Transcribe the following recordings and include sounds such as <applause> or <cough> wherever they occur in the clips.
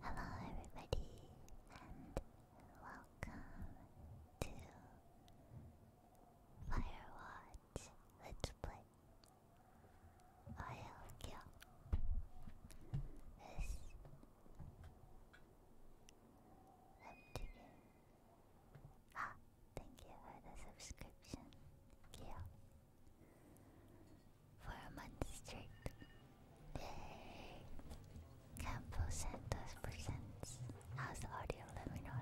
Hello, everybody, and welcome to Firewatch Let's Play I'll This left again. Ah, thank you for the subscription, Gio. For a month straight. Yay! Campo Santos presents. How's the audio? Let me know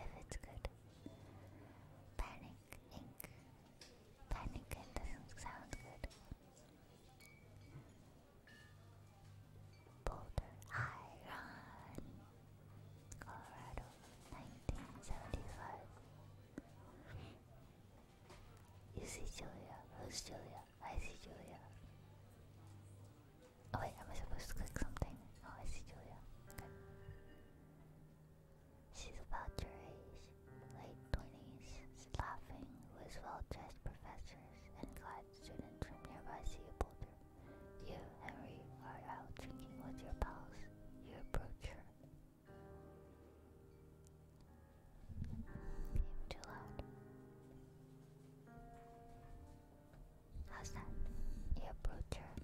if it's good. Panic Inc. Panic Inc. doesn't sound good. Boulder, I Colorado, 1975. You see Julia? Who's Julia? I see Julia. Oh wait, am I supposed to click something? Oh, I see Julia. Okay. She's about your age, late 20s, laughing with well-dressed professors and guide students from nearby Sea Boulder. You, Henry, are out drinking with your pals. You approach her. I'm too loud. How's that? You approach her.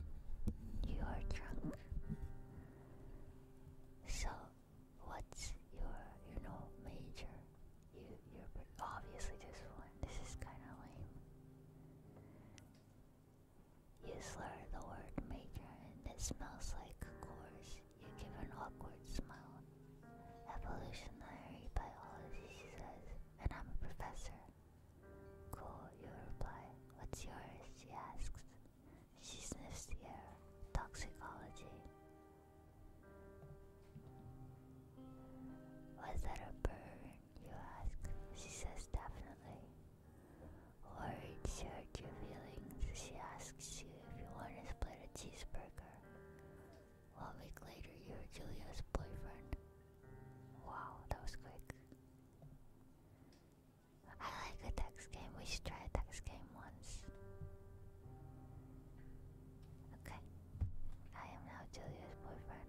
You are drunk. So, what's your, you know, major? You, you're obviously this one. This is kind of lame. You slur the word major and it smells like course. You give an awkward smile. Evolutionary biology, she says, and I'm a professor. Cool, you reply. What's yours? She asks. She sniffs the air. Toxicology. Was that a burn? You ask. She says definitely. Or insert your feelings. She asks you if you want to split a cheeseburger. One week later, you're Julia's boyfriend. Wow, that was quick. I like a text game. We should try a text game once. Okay. I am now Julia's boyfriend.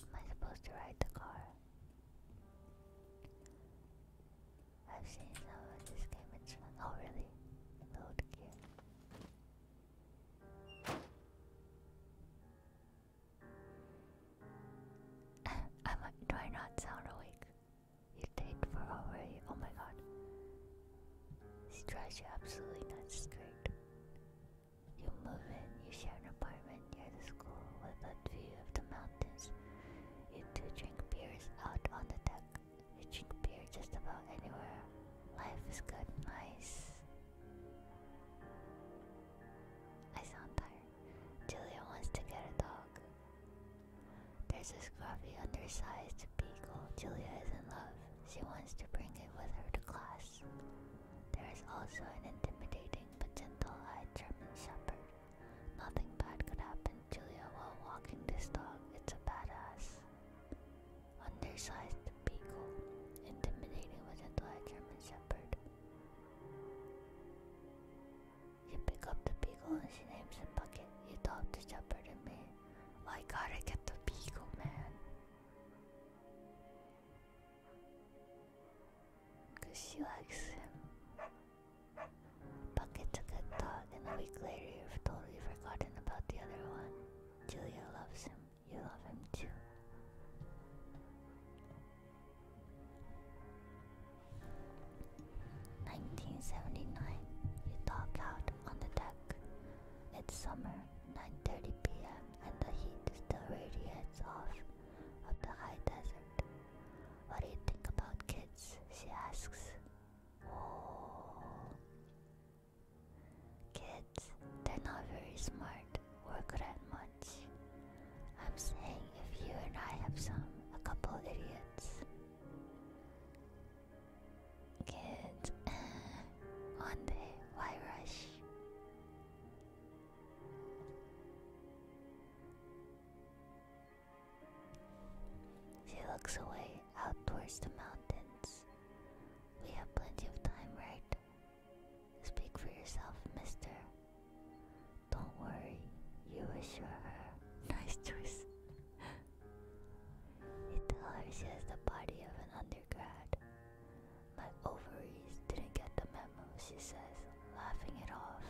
Am I supposed to ride the car? I've seen some of this game, it's fun. Oh, really? Load gear. <laughs> i do I not sound awake? You take for already. Oh my god. She drives you absolutely nuts straight. You move in, you share an apartment near the school with a view of the mountains. You two drink beers out on the deck. You drink beer just about anywhere. Life is good, nice. I sound tired. Julia wants to get a dog. There's a scruffy, undersized beagle. Julia is in love. She wants to bring it with her to class. There is also an intimidating but gentle-eyed German shepherd. Nothing bad could happen, Julia, while walking this dog. It's a badass. Undersized beagle. Intimidating with gentle-eyed German shepherd. You pick up the beagle and she names him Bucket. You talk to shepherd and me. I gotta get the beagle, man. Cause she likes him. Bucket's a good dog, and a week later you've totally forgotten about the other one. Julia loves him. You love him too. 1979, you dog out on the deck. It's summer, 9.30 p.m. and the heat still radiates off of the high desert. What do you think about kids? She asks. Oh. Kids, they're not very smart or at much. I'm saying if you and I have some, a couple idiots, kids, <sighs> one day, why rush? She looks away out towards the mountains. We have plenty of time, right? Speak for yourself, mister. Don't worry, you assure her. Nice choice. you tell her she has the body of an undergrad. My ovaries didn't get the memo, she says, laughing it off.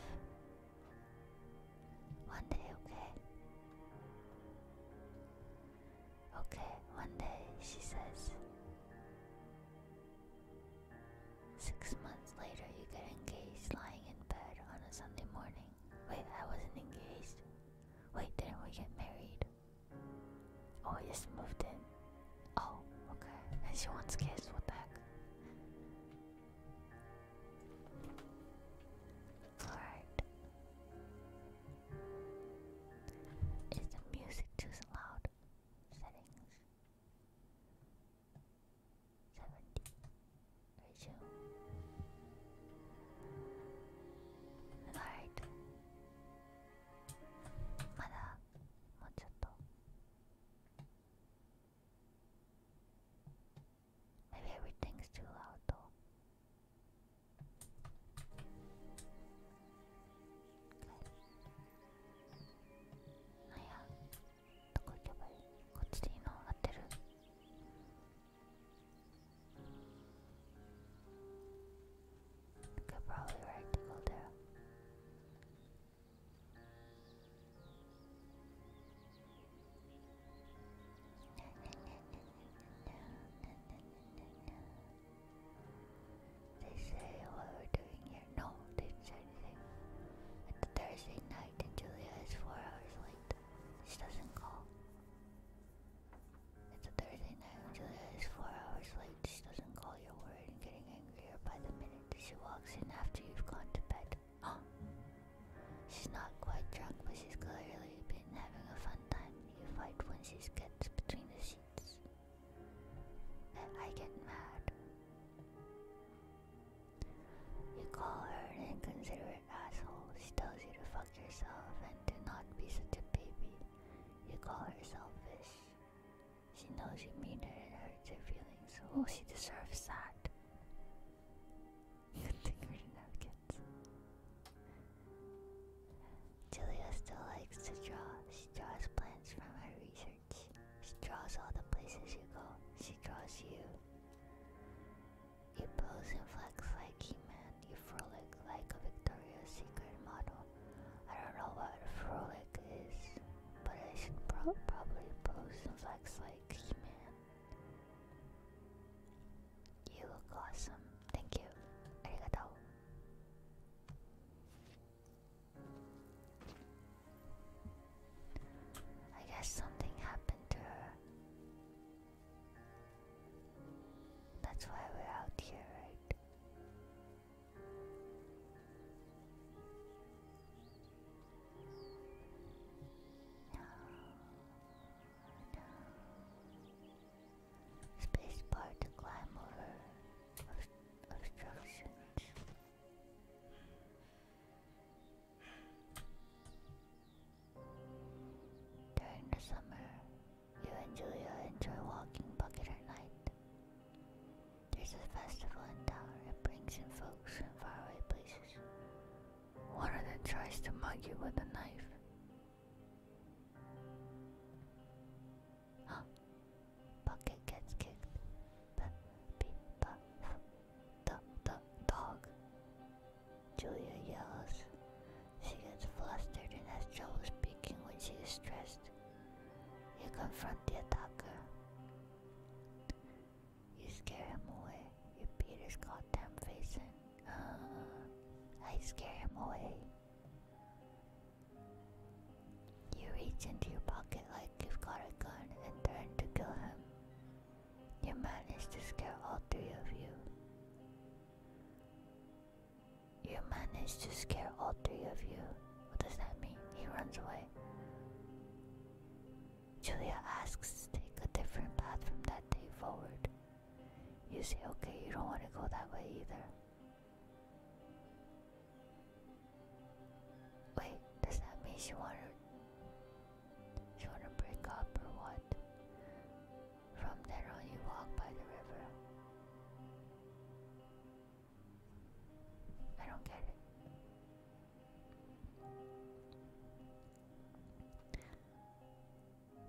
One day, okay? Okay, one day, she says. Six months later, you get engaged lying in bed on a Sunday morning. Wait, I wasn't engaged. Wait, didn't we get married? Oh, I just moved in. Oh, okay. And she wants kiss. what the heck? Alright. Is the music too loud? Settings seventy ratio. Right. まだもうちょっと Maybe everything's too loud though. yeah. どこ行けばいいこっちで今上がってるなんか probably right to go they say what we're doing here. No, they say it's At Thursday night and Julia is four hours late. She doesn't call. It's a Thursday night and Julia is four hours late. She doesn't call your worried and getting angrier by the minute. She walks in after you've gone to bed. Huh? <gasps> She's not quite drunk, but she's clearly been having a fun time. You fight when she's gets between the sheets. I get mad. You call her an inconsiderate asshole. She tells you to fuck yourself and to not be such a baby. You call her selfish. She knows you mean it and hurts her feelings. Oh, she deserves that. Good thing we didn't have Julia still likes to draw. She draws plants from her research. She draws all the places you go. She draws you. You pose and flex like a man You frolic like a Victoria's Secret model. I don't know what a frolic is, but I should probably pose and flex like a man You look awesome. Thank you. Arigato. I guess something happened to her. That's why we're out here, right? No, no. Space bar to climb over obstructions. During the summer, you and Julia enjoy walking bucket at night. There's a festival in town that brings in folks from faraway places. One of them tries to mug you with a knife. Bucket gets kicked. B b b Duck, duck, dog. Julia yells. She gets flustered and has trouble speaking when she's stressed. You confront the attacker. You scare him away. You beat his goddamn face in. Uh, I scare him away. You reach into your pocket like you've got a gun and turn to kill him. You managed to scare all three of you. You managed to scare all three of you. What does that mean? He runs away. Julia asks to take a different path from that day forward. You say, okay, you don't want to go that way either. Wait, does that mean she wanted you wanna break up or what? From there on, you walk by the river. I don't get it.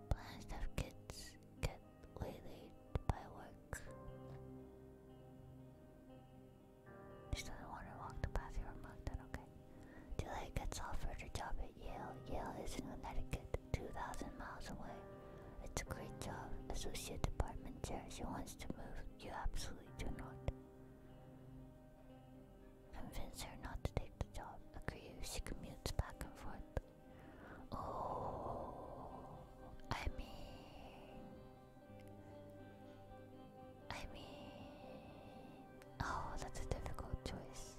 Plans of kids get waylaid by work. She doesn't want to walk the path you marked that, okay? Delay gets offered a job at Yale. Yale is in Connecticut, 2,000 miles away. It's a great job. Associate department chair. She wants to move. You absolutely do not. Convince her not to take the job. Agree she commutes back and forth. Oh, I mean, I mean, oh, that's a difficult choice.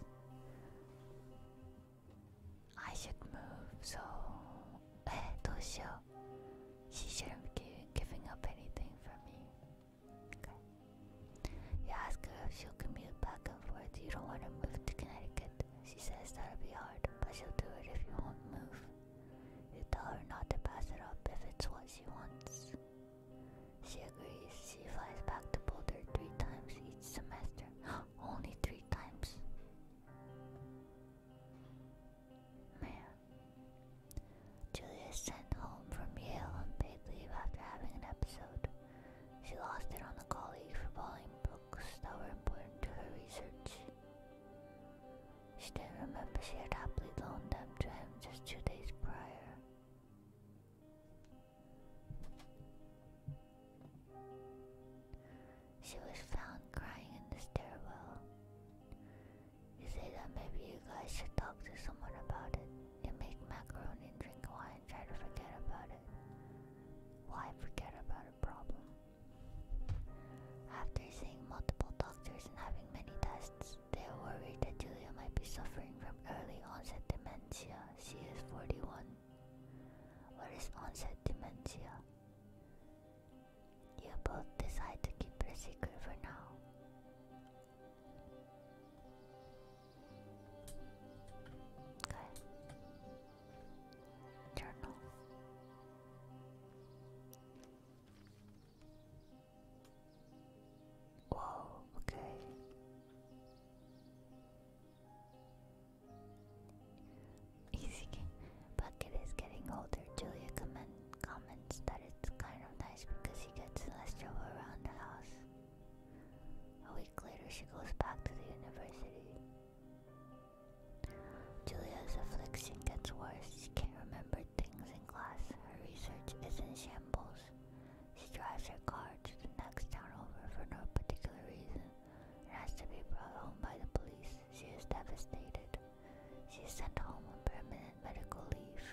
I should move, so eh, <laughs> Toshio, she shouldn't be giving up anything for me. Okay. You ask her if she'll commute back and forth. You don't want to move to Connecticut. She says that'll be hard, but she'll do it if you won't move. You tell her not to pass it up if it's what she wants. She agrees. She flies back to Boulder three times each semester. <gasps> Only three times. Man. Julia is sent home from Yale on paid leave after having an episode. She lost it on a colleague for borrowing books that were important to her research. She didn't remember she had happily loaned them to him just two days prior. She was found crying in the stairwell. You say that maybe you guys should talk to someone about it. You make macaroni and drink wine, try to forget about it. Why forget about a problem? After seeing multiple doctors and having many tests, they're worried that Julia might be suffering from early onset dementia. She is 41. What is onset dementia? You both decide to keep it a secret for now. Okay. Journal okay. Bucket is getting older. Julia comment, comments that it's kind of nice because he gets less trouble around the house. A week later, she goes back to the university. Julia's affliction gets worse. She can't remember things in class. Her research is in shambles. She drives her car to the next town over for no particular reason and has to be brought home by the police. She is devastated. She is sent home on permanent medical leave.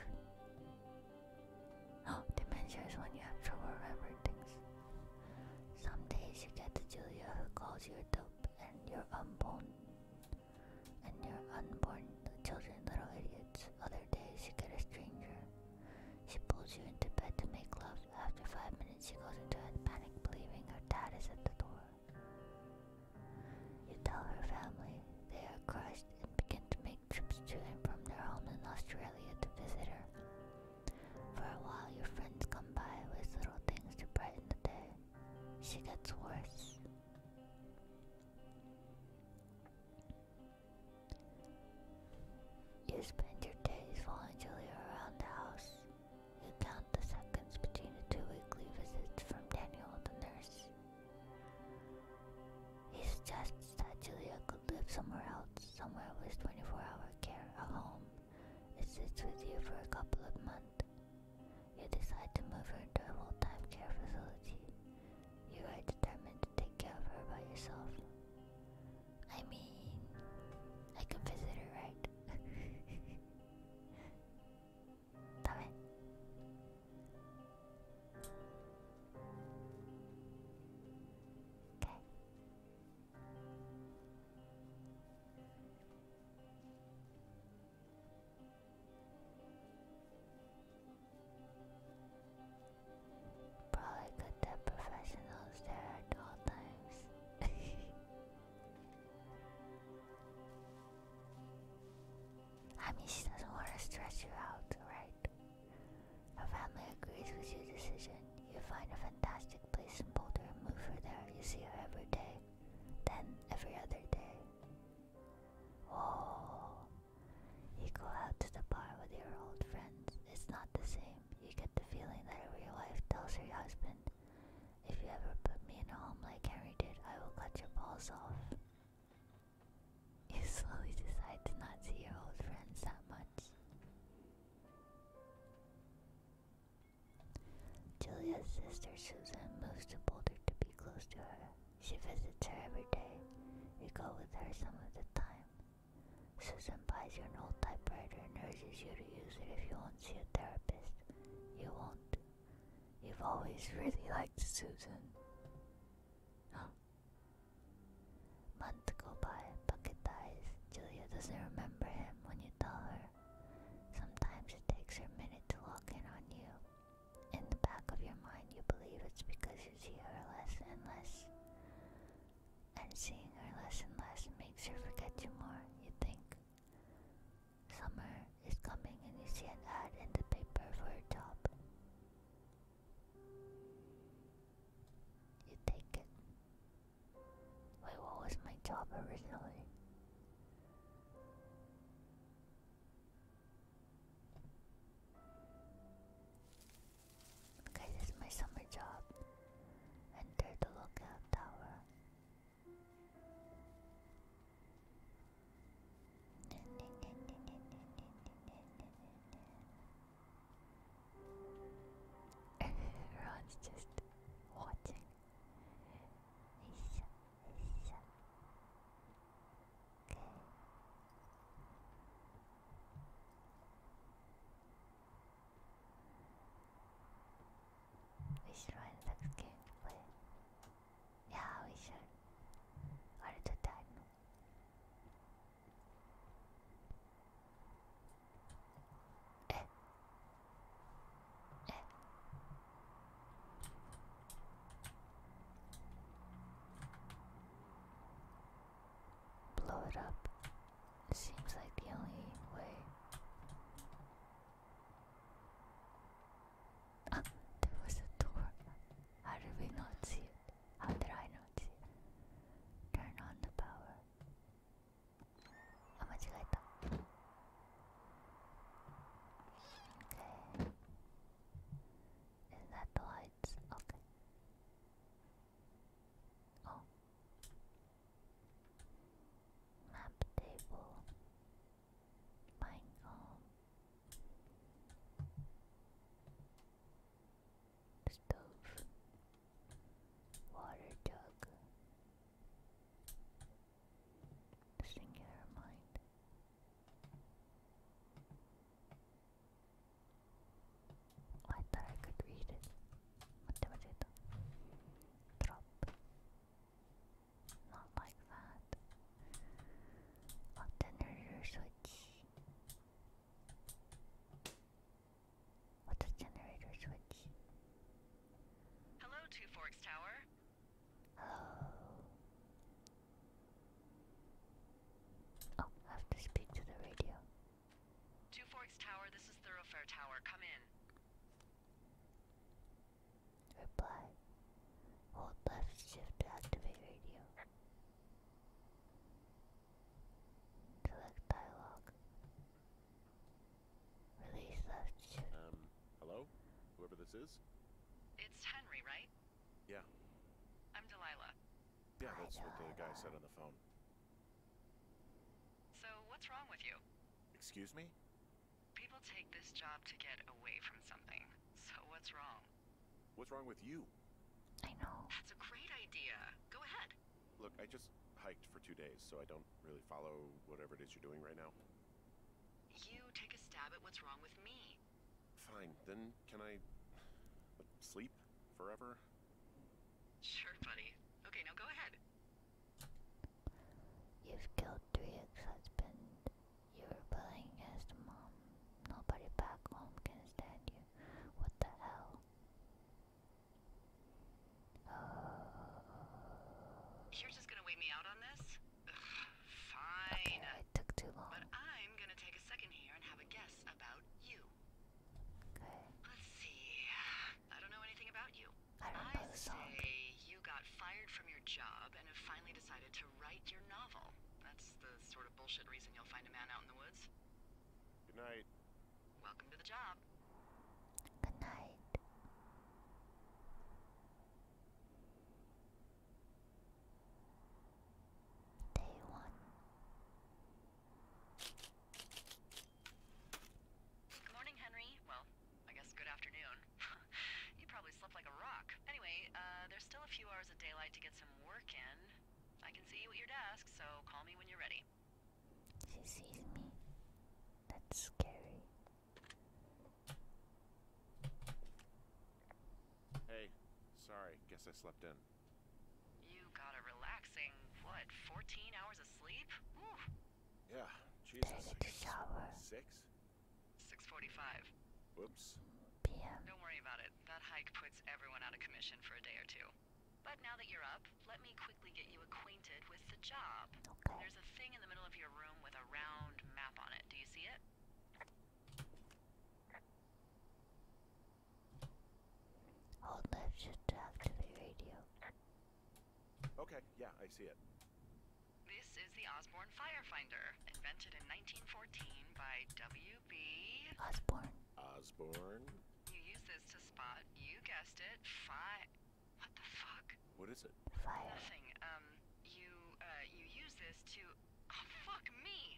<gasps> dementia is when you have trouble remembering things. Some days you get the Julia who calls you a dope and you're unboned and their unborn children little idiots. Other days, you get a stranger. She pulls you into bed to make love. After five minutes, she goes into a panic, believing her dad is at the door. You tell her family they are crushed and begin to make trips to and from their home in Australia to visit her. For a while, your friends come by with little things to brighten the day. She gets worse. You spend your days following Julia around the house. You count the seconds between the two weekly visits from Daniel the nurse. He suggests that Julia could live somewhere else, somewhere with 24 hour care, at home. It sits with you for a couple of months. You decide to move her to a full time care facility. You are determined to take care of her by yourself. I mean, I can visit her, right? <laughs> Okay. Probably good that professionals there at all times. <laughs> I mean, she doesn't want to stress you out, right? Her family agrees with your decision. You find a fantastic place in Boulder and move her there. You see her every day, then every other day. Oh, you go out to the bar with your old friends, it's not the same. You get the feeling that a real wife tells her husband, If you ever put me in a home like Henry did, I will cut your balls off. You <laughs> slowly decide to not see your old friends that much. Julia's sister Susan moves to Boulder to be close to her. She visits her every day. You go with her some of the time. Susan buys you an old typewriter and urges you to use it if you want not see a therapist. You won't. You've always <laughs> really liked Susan. Months go by, Bucket dies. Julia doesn't remember him when you tell her. Sometimes it takes her a minute to lock in on you in the back of your mind you believe it's because you see her less and less. And seeing her less and less makes her forget you more, you think. Summer is coming and you see an ad in the paper for a job. You take it. Wait, what was my job originally? Guys, this is my summer job. Enter the lookout tower. <laughs> Everyone's just watching. Isha, Isha. We should run next game, but yeah, we should. Or do diagonal. Eh. Eh. Blow it up. Seems like the only way. Ah, there was a door. How did we not see it? How did I not see it? Turn on the power. Ah, okay. Is that the lights? Okay. Oh. Map table. Mine home. Stove. Water jug. Singular mind. Oh, I thought I could read it. What was it? Drop. Not like that. Generator switch. What's a generator switch? Hello, Two Forks Tower. Hello. Oh, I have to speak to the radio. Two Forks Tower, this is Thoroughfare Tower. Come in. Reply. Hold left shift to activate radio. Select dialogue. Release left Um, hello? Whoever this is? It's Henry, right? Yeah. I'm Delilah. Yeah, that's what the guy said on the phone. So, what's wrong with you? Excuse me? People take this job to get away from something. So, what's wrong? What's wrong with you? I know. That's a great idea. Go ahead. Look, I just hiked for two days, so I don't really follow whatever it is you're doing right now. You take a stab at what's wrong with me. Fine, then can I sleep forever? Sure, buddy. Okay, now go ahead. You've killed three ex-husband. You're rebelling against mom. Nobody back home can stand you. What the hell? You're just gonna wait me out on this? fine. But I'm gonna take a second here and have a guess about you. Okay. Let's see. I don't know anything about you. I Say you got fired from your job and have finally decided to write your novel. That's the sort of bullshit reason you'll find a man out in the woods. Good night. Welcome to the job. Good night. Day one. Good morning, Henry. Well, I guess good afternoon. <laughs> you probably slept like a rock. Anyway, uh, there's still a few hours of daylight to get some work in. I can see you at your desk, so call me when you're ready. She sees me. That's scary. Hey, sorry, guess I slept in. You got a relaxing, what, 14 hours of sleep? Whew. Yeah, Jesus. Six? 6.45. Whoops. Don't worry about it. That hike puts everyone out of commission for a day or two. But now that you're up, let me quickly get you acquainted with the job. There's a thing in the middle of your room with a round map on it. Do you see it? Hold left to activate radio. Okay, yeah, I see it. This is the Osborne Firefinder, invented in 1914 by W.B. Osborne. Osborne. You use this to spot, you guessed it, fire. What the fuck? What is it? Fire. Nothing. Um, you, uh, you use this to. Oh, fuck me!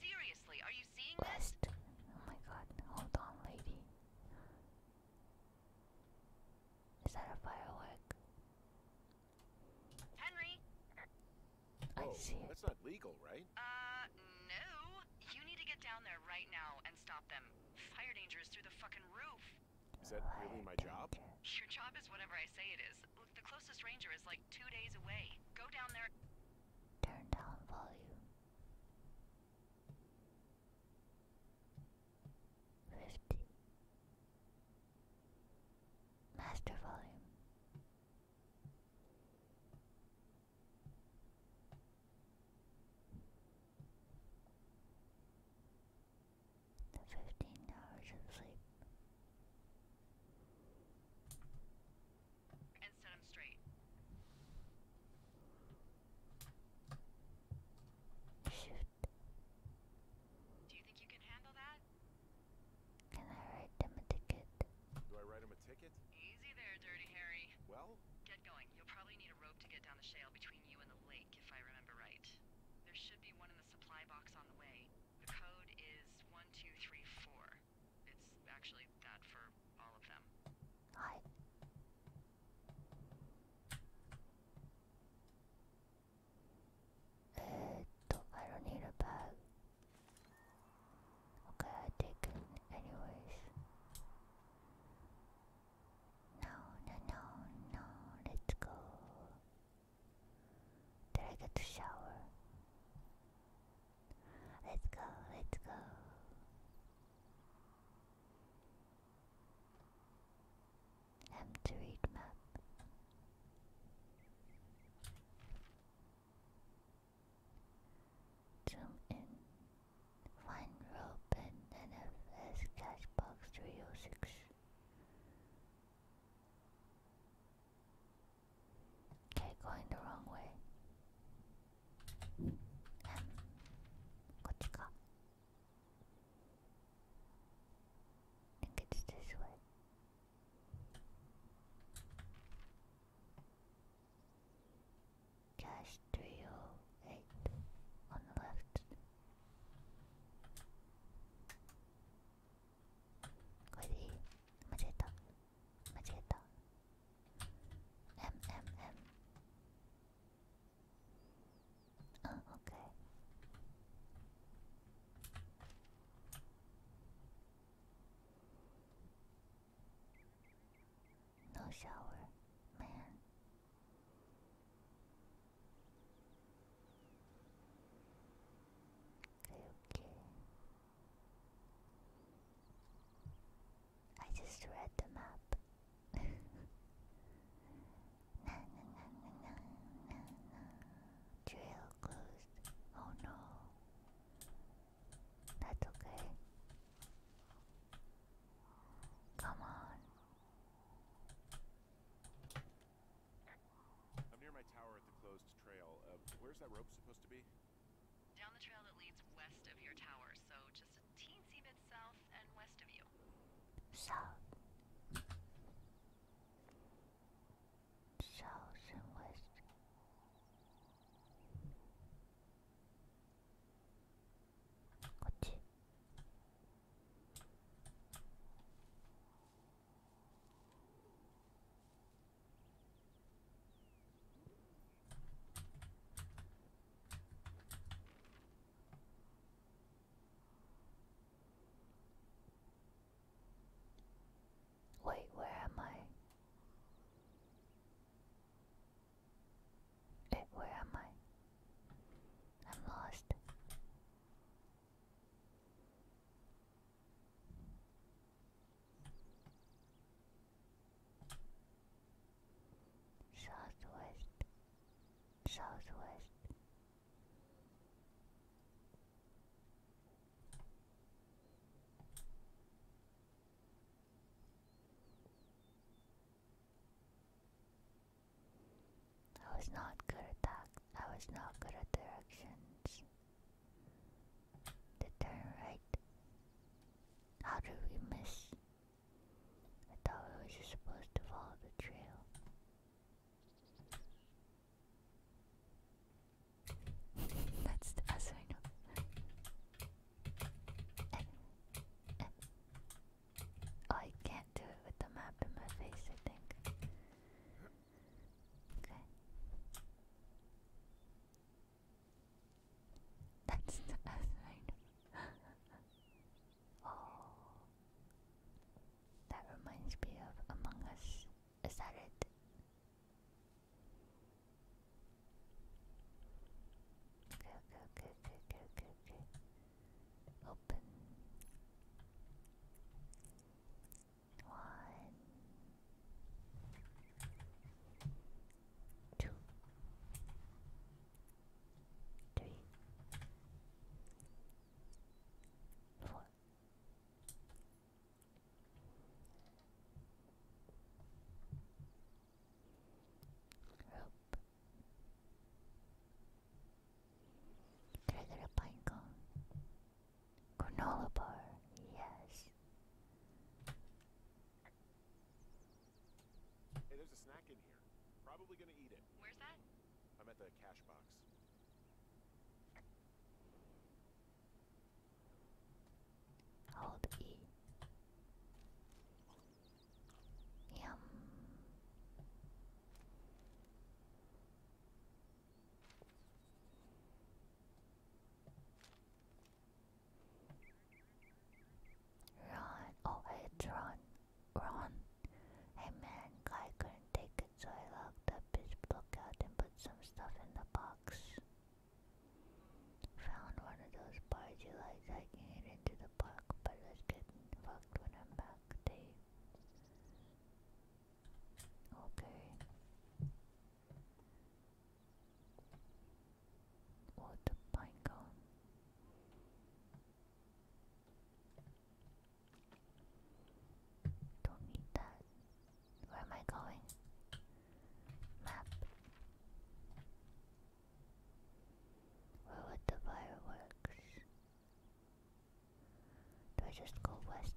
Seriously, are you seeing West. this? Oh my god, hold on, lady. Is that a firework? Henry! Oh, that's not legal, right? Uh, no. You need to get down there right now and stop them. Fire danger is through the fucking roof. Is that really my job? Your job is whatever I say it is. Look, the closest ranger is like two days away. Go down there. Turn down volume. Fifty. Master volume. The 15 hours of sleep. Shoot. Do you think you can handle that? Can I write them a ticket? Do I write him a ticket? Easy there, Dirty Harry. Well? Get going. You'll probably need a rope to get down the shale between you and the lake, if I remember right. There should be one of supply box on the way. The code is 1234. It's actually that for all of them. Hi. Uh, I don't need a bag. Okay, I take it anyways. No, no, no, no, let's go. Did I get to shower? Let's go, let's go. M to read map. Zoom in. Find rope and NFS cash box 306. Okay, going the wrong way. Um, I think it's Cash 308 on the left. これでいい間違えた間違えた MMM うん OK ノーシャワー man Okay. I just read the map. na, na, na, na, na, na, Trail closed. Oh no. That's okay. Come on. I'm near my tower at the closed trail. Uh, where's that rope supposed to be? Down the trail that leads west of your tower, so just a teensy bit south and west of you. South. South and west. What? Wait, where am I? Eh, where am I? I'm lost. Southwest, southwest. I was not good at that. I was not good at directions. The turn right. How did we miss? I thought we were supposed to follow the trail. <laughs> That's as I know. Oh, I can't do it with the map in my face, I think. Good. That's the outside. <gasps> oh. That reminds me of Among Us. Is that it? Okay, okay, okay, okay, okay, okay. Open. One, two, three, four. Rope Treasure Pinecone. Granola bar, yes. Hey, there's a snack in here. Probably gonna eat it. Where's that? I'm at the cash box. Hold E. Yum. Ron, oh it's Ron, Ron. Hey man, guy couldn't take it, so I locked up his book out and put some stuff in the box. Found one of those bars you like it into the park, but let's fucked when I'm back, Dave. Okay. Wood pine cone. Don't need that. Where am I going? Map. Where would the fireworks? Do I just go west?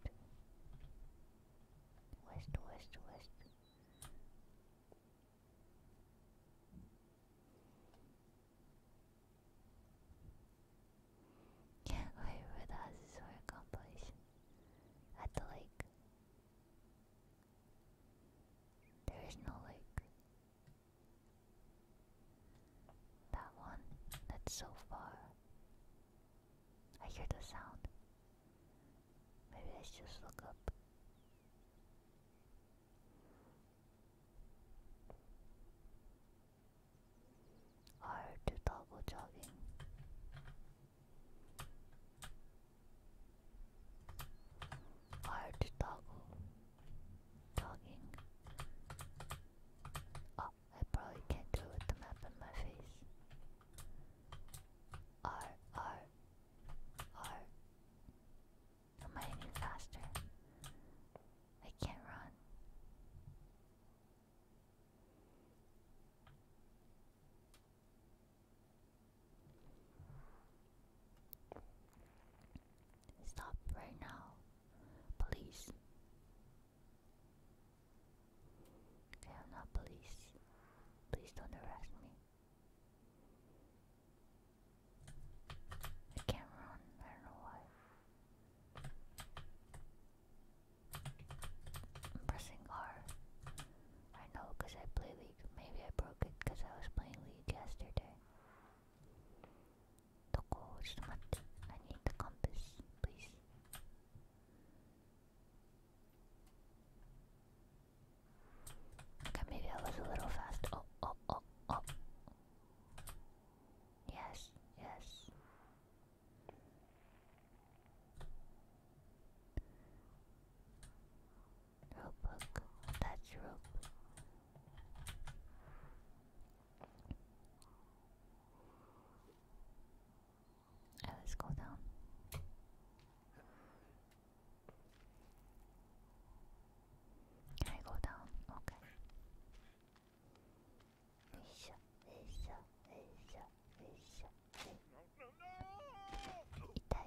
West, west, west. Can't <laughs> wait for the houses at the lake. There is no lake. That one, that's so far. I hear the sound. Maybe let's just look up. Or to toggle jogging. Or I probably can't do it with the map in my face. R, R, R. faster? I can't run. Stop right now, please. I'm not police. Please don't arrest me. I can't I don't know why. I'm pressing R. I know because I play League. Maybe I broke it because I was playing League yesterday. どこちょっと待って。I need the compass, please. maybe I was a little fast. Oh, oh, oh, oh. Yes, yes. Rope That's rope. Right, let's go down. Can I go down? Okay. よいしょ、よいしょ、よいしょ、よいしょ。痛い。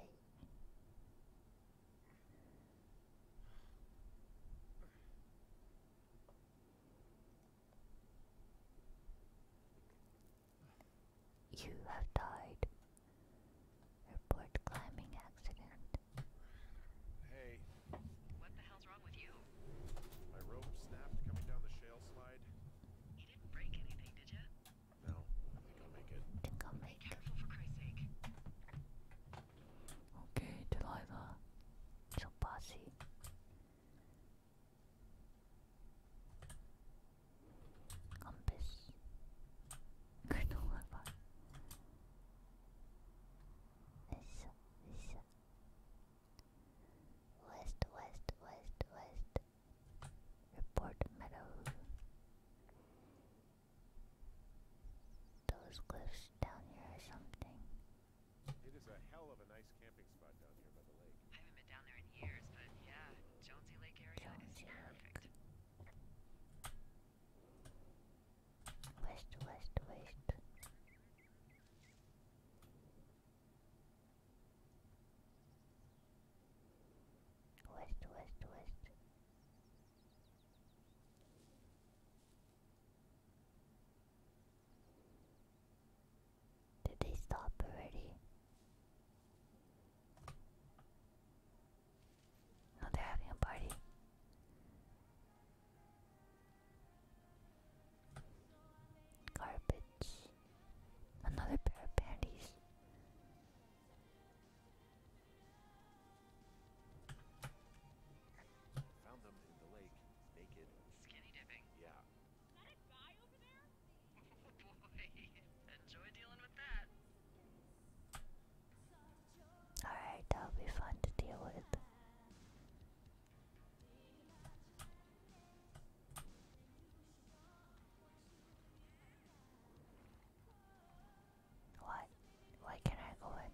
You have died. Report climbing accident. Hey. What the hell's wrong with you? My rope snapped coming down the shale slide. You didn't break anything, did you? No, I think make it. I think make it. Okay, Delilah. So bossy. Compass. Granola bar. This, West, west, west, west. Report meadow. Those cliffs down here or something. It is a hell of a nice camping spot down here by the lake. I haven't been down there in years, but yeah, Jonesy Lake area Jonesy is perfect. Lake. West, west, west. West, west, west. Did they stop already? No, they're having a party. Garbage. Another pair of panties. Naked. Skinny dipping. Yeah. Is that a guy over there? <laughs> oh boy. <laughs> Enjoy dealing with that. Alright, that'll be fun to deal with. What? Why can I go in?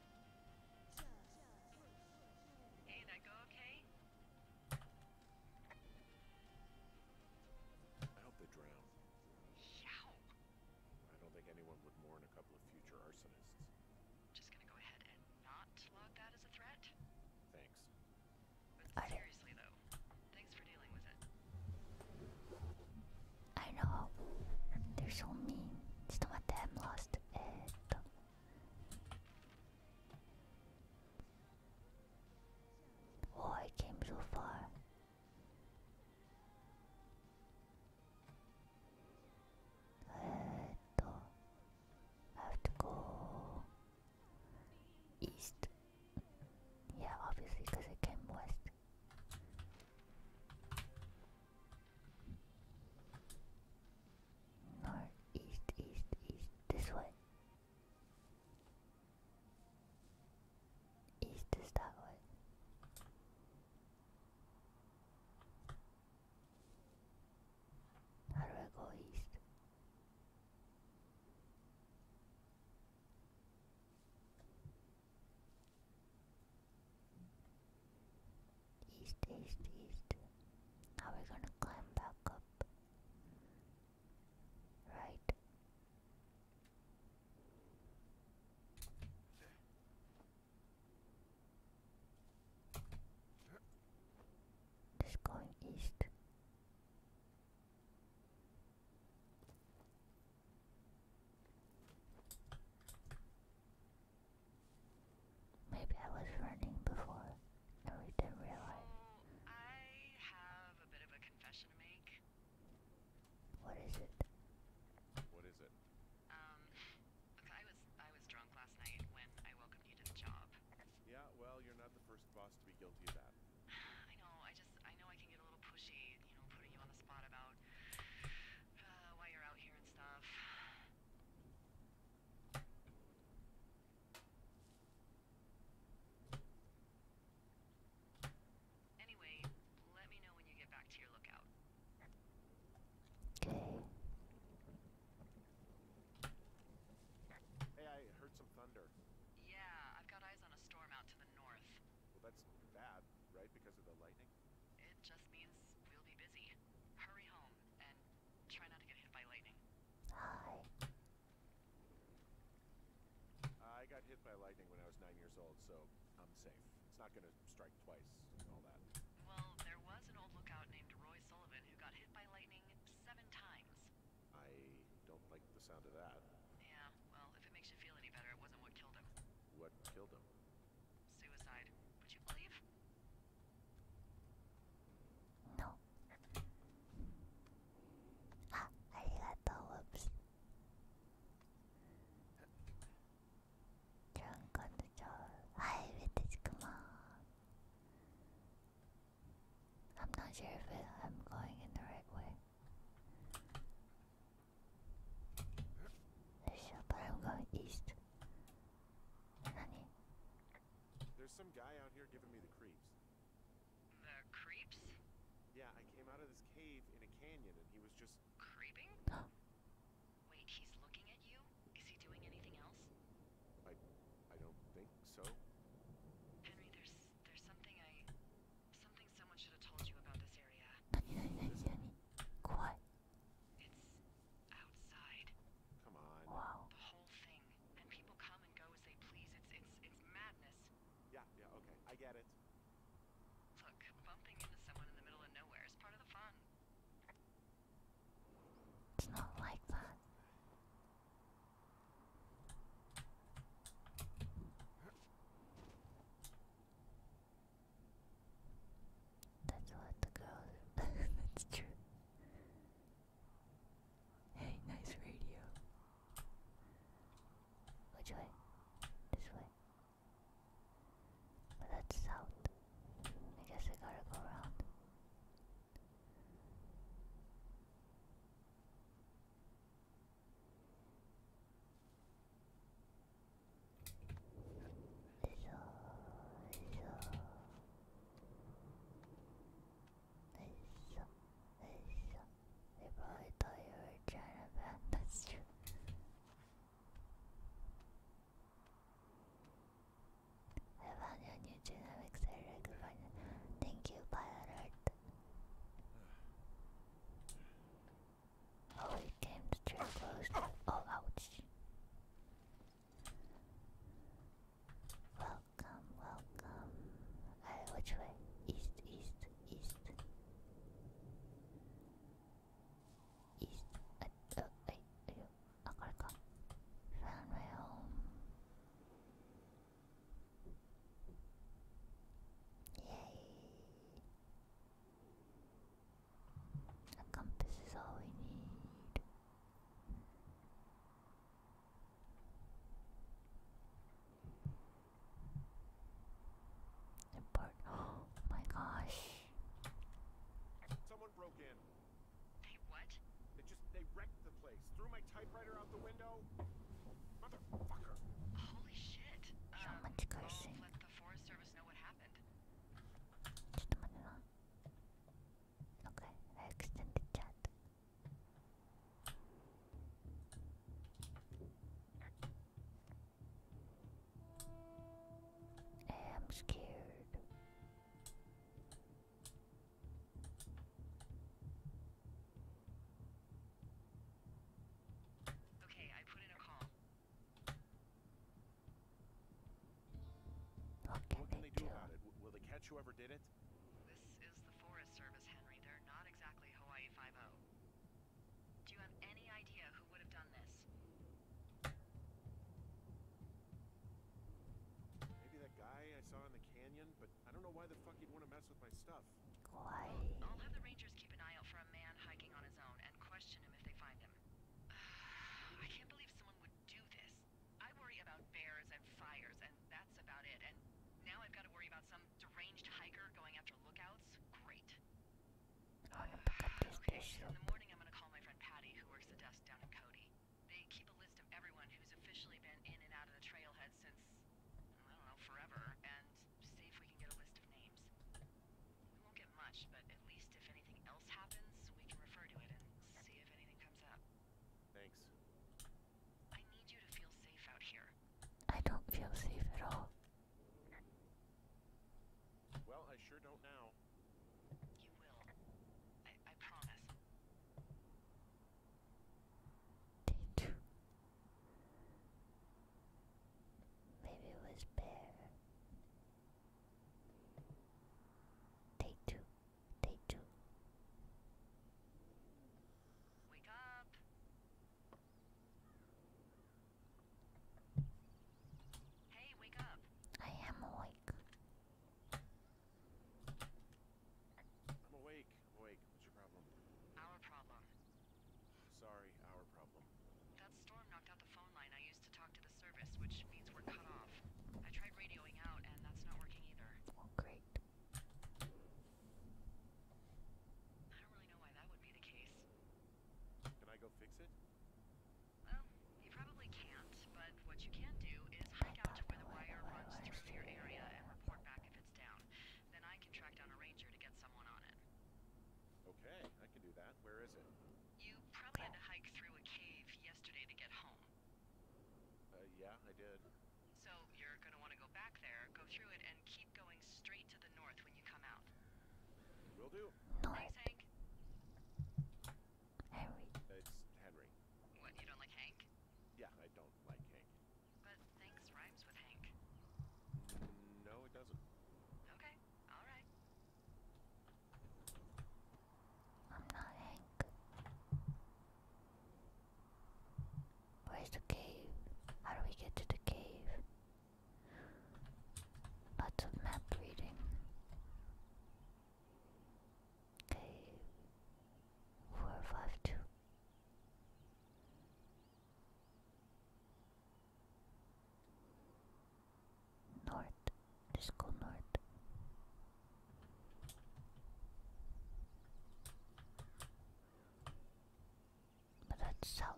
I hope they drown. I don't think anyone would mourn a couple of future arsonists. Just gonna go ahead and not log that as a threat? Thanks. But seriously though, thanks for dealing with it. I know. They're so mean. ちょっと待って、I'm lost. えー、っと。Oh, I came so far. I have to go east. Yeah, obviously, because I came west. North, east, east, east, this way. East is that way. How do I go east? East, east, east. Now we're gonna climb back up. Right. Just going east. Maybe I was running before and we didn't realize. I have a bit of a confession to make. What is it? What is it? Um, I was I was drunk last night when I welcomed you to the job. Yeah, well, you're not the first boss to be guilty of that. <sighs> I know. I just I know I can get a little pushy, you know, putting you on the spot about uh, you're out here and stuff. Anyway, let me know when you get back to your lookout. Okay. Hey, I heard some thunder. Yeah, I've got eyes on a storm out to the north. that's bad, right? Because of the lightning? It just means we'll be busy. Hurry home and try not to get hit by lightning. I got hit by lightning when I was nine years old, so I'm safe. It's not gonna strike twice and all that. Well, there was an old lookout named Roy Sullivan who got hit by lightning seven times. I don't like the sound of that. Yeah, well, if it makes you feel any better, it wasn't what killed him. What killed him? Suicide. Would you believe? No. Ah, <gasps> arigato, whoops. job. Hi, Vintage, come I'm not sure if I'm going in the right way. I'm going east. Honey. There's some guy out here giving me the creeps. The creeps? Yeah, I came out of this cave in a canyon and he was just creeping? <gasps> Wait, he's looking at you? Is he doing anything else? I I don't think so. Henry, there's there's something I something someone should have told you about this area. Listen. Quiet. It's Come on. Wow. madness. Yeah, yeah, okay. I get it. Look, bumping into someone in the middle of nowhere is part of the fun. It's not like that. That's what the girls. <laughs> That's true. Hey, nice radio. Which way? This way. But that's south. I guess we gotta go around. They probably thought you were a Chinaman, that's true. I new genomics area, good find Thank you, Pilot Oh, it came too close. To oh, ouch. Welcome, welcome. Uh, which way? East, east, east. East. Uh, uh, uh, uh, Found my home. Yay. A compass is all we need. The part. <gasps> Oh my gosh! Someone broke in. They what? They just they wrecked the place. Threw my typewriter out the window. Motherfucker! Holy shit! So um, cursing happened. Okay, I extended chat. I am scared. Okay, I put in a call. What can, they, do, about it? Will they catch whoever did it? This is the Forest Service, Henry. They're not exactly Hawaii 5 Do you have any idea who would have done this? Maybe that guy I saw in the canyon, but I don't know why the fuck he'd want to mess with my stuff. Why? I'll have the rangers keep an eye out for a man hiking on his own and question him if they find him. <sighs> I can't believe someone would do this. I worry about bears and fires, and that's about it. And now I've got to worry about some deranged hiker going after lookouts? Great. okay, so in the morning I'm gonna call my friend Patty, who works the desk down in Cody. They keep a list of everyone who's officially been in and out of the trailhead since, I don't know, forever, and see if we can get a list of names. We won't get much, but at least if anything else happens, we can refer to it and see if anything comes up. Thanks. I need you to feel safe out here. I don't feel safe at all. Well, I sure don't now. You will. I, promise. Day two. Maybe it was bear. Take two. Take two. Wake up. Hey, wake up. I am awake. I'm awake. awake. What's your problem? Our problem. Sorry, our problem. That storm knocked out the phone line I used to talk to the service, which means we're cut off. I tried radioing out, and that's not working either. great. I don't really know why that would be the case. Can I go fix it? Well, you probably can't, but what you can do is hike out where the wire runs through your area and report back if it's down. Then I can track down a ranger to get someone on it. Okay, I can do that. Where is it? You probably had to hike through a cave yesterday to get home. Uh, yeah, I did. So you're gonna want to go back there, go through it, and keep going straight to the north when you come out. Will do. Thanks, Hank. Henry. it's Henry. What, you don't like Hank? Yeah, I don't like Hank. But thanks rhymes with Hank. no, it doesn't. Okay, alright. I'm not Hank. Where's the cave? How do we get to the cave? Lots of map reading. Cave. Four, five, two. North. Let's go north. But that's south.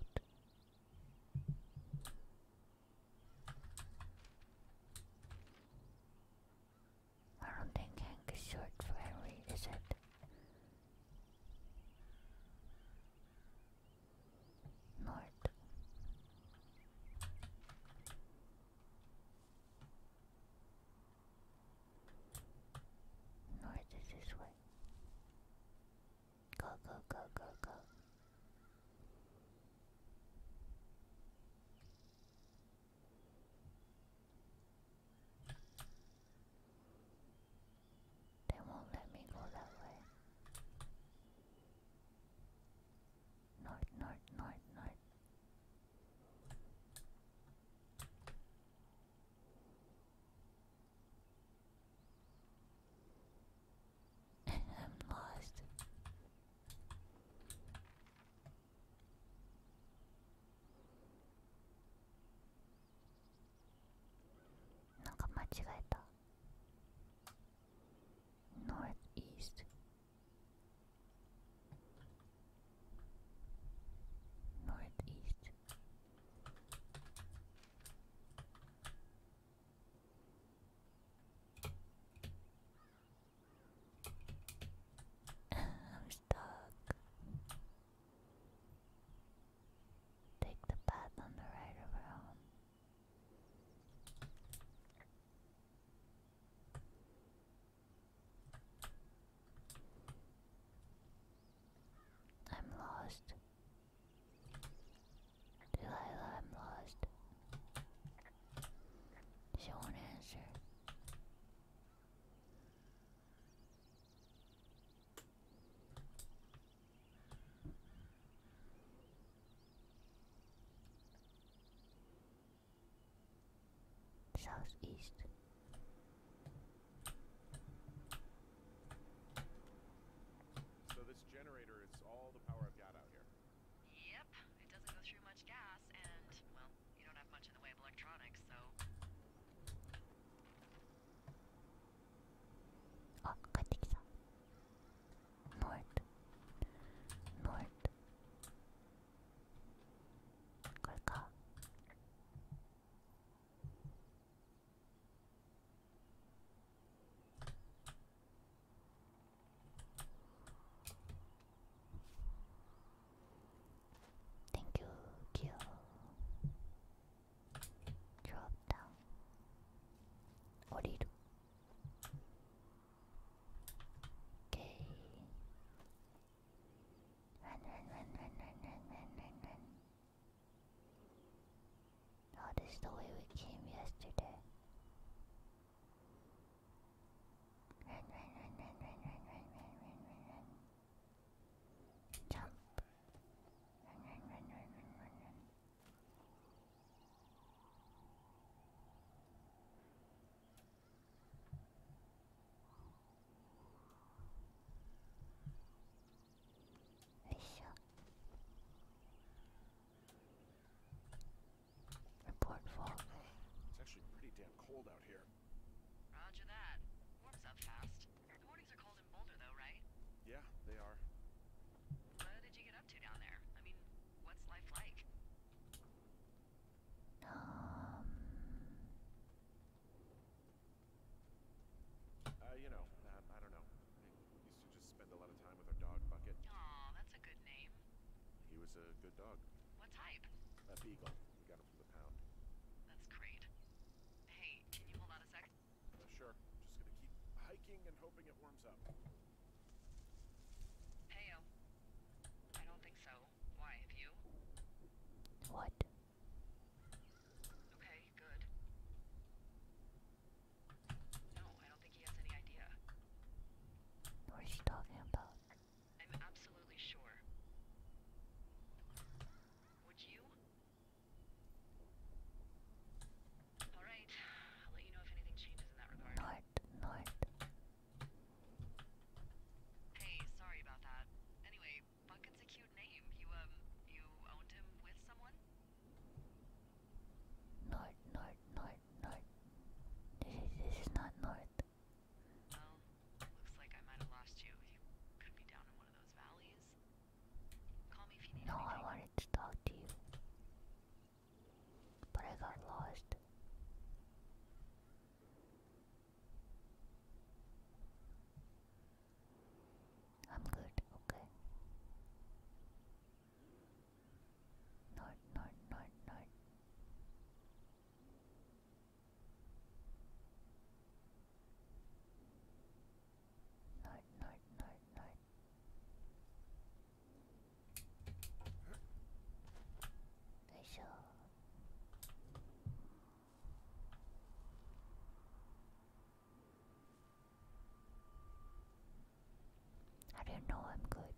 I don't think Hank is short for Henry, is it? North. North is this way. Go, go, go, go, go. They won't let me go that way. ないないないないえっ lost なんか間違えた northeast northeast <laughs> I'm stuck. Take the path on the right I'm lost. Delilah, I'm lost. She won't answer. Southeast. So this generator is all the power I've got out here. Yep, it doesn't go through much gas, and well, you don't have much in the way of electronics, so. Oh, north, north. 갈까? 땡큐 큐 드롭 다운 어리루 Okay. Run, run, run, run, run, run, run, run, run. Oh, the way we came yesterday. Run, run, run, run, run, run, run, run, run, run, Jump. run, run, run, run, run, run. よいしょ Report fog. It's actually pretty damn cold out here. Roger that. Warms up fast. The mornings are cold in Boulder, though, right? Yeah, they are what's life like? Um. Uh, you know, I don't know. used to just spend a lot of time with our dog Bucket. Aw, that's a good name. He was a good dog. What type? A beagle. We got him from the pound. That's great. Hey, can you hold on a sec? sure. Just gonna keep hiking and hoping it warms up. Heyo. I don't think so. Why, have you? What? Okay, good. No, I don't think he has any idea. What is she talking about? I'm absolutely sure. Would you? All right. I'll let you know if anything changes in that regard. Hey, sorry about that. Anyway, Bucket's a cute name. You um, you owned him with someone? Night, night, night, night. This is not night. Well, looks like I might have lost you. You could be down in one of those valleys. Call me if you need No, I wanted to talk to you. But I got lost. I'm good, okay. Not, not, not, not. Night, night, night, night. There I don't know I'm good.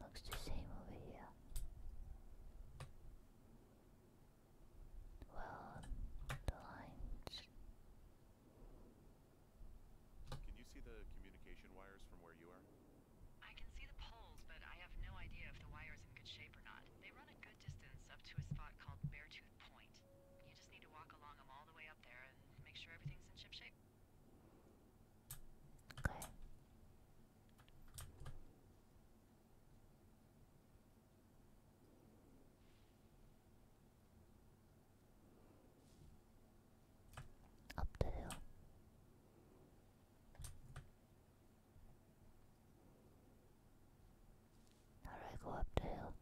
Looks the same over here. Well, the lines can you see the communication wires from where you are? I can see the poles, but I have no idea if the wire's in good shape or not. They run a good distance up to a spot called Beartooth Point. You just need to walk along them all the way up there and make sure everything's in ship shape. Okay. Up the hill. How go up the hill?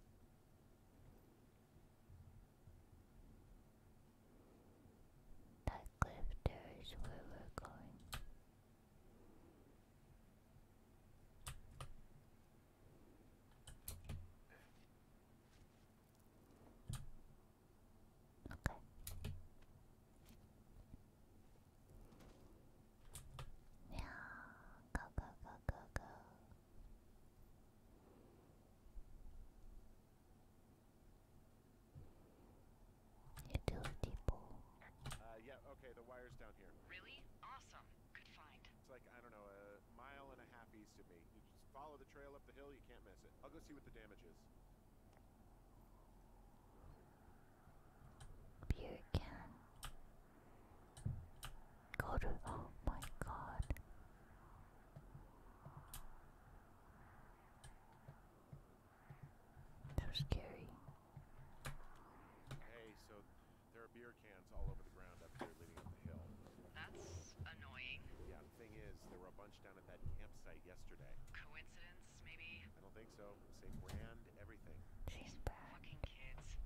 That cliff there is where we're going. Okay. Yeah, go, go, go, go, go. You do it, people. Uh, yeah, okay, the wire's down here. Really? Awesome. It's like, I don't know, a mile and a half east of me. You just follow the trail up the hill, you can't miss it. I'll go see what the damage is. You can go to. Oh my god. So scary. Hey, so there are beer that's annoying. Yeah, the thing is, there were a bunch down at that campsite yesterday. Coincidence, maybe? I don't think so. Same brand, everything. These fucking kids.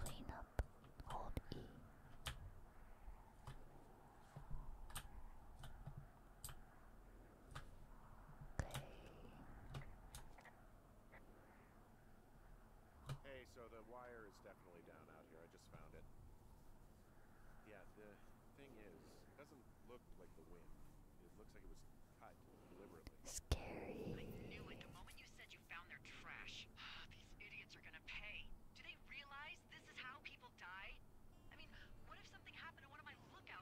Clean up. Hold E. Okay. Hey, so the wire is definitely down out here. I just found it. Yeah, the thing is, it doesn't look like the wind. It looks like it was cut deliberately. Scary. I knew it the moment you said you found their trash. <sighs> These idiots are gonna pay. Do they realize this is how people die? I mean, what if something happened to one of my lookouts?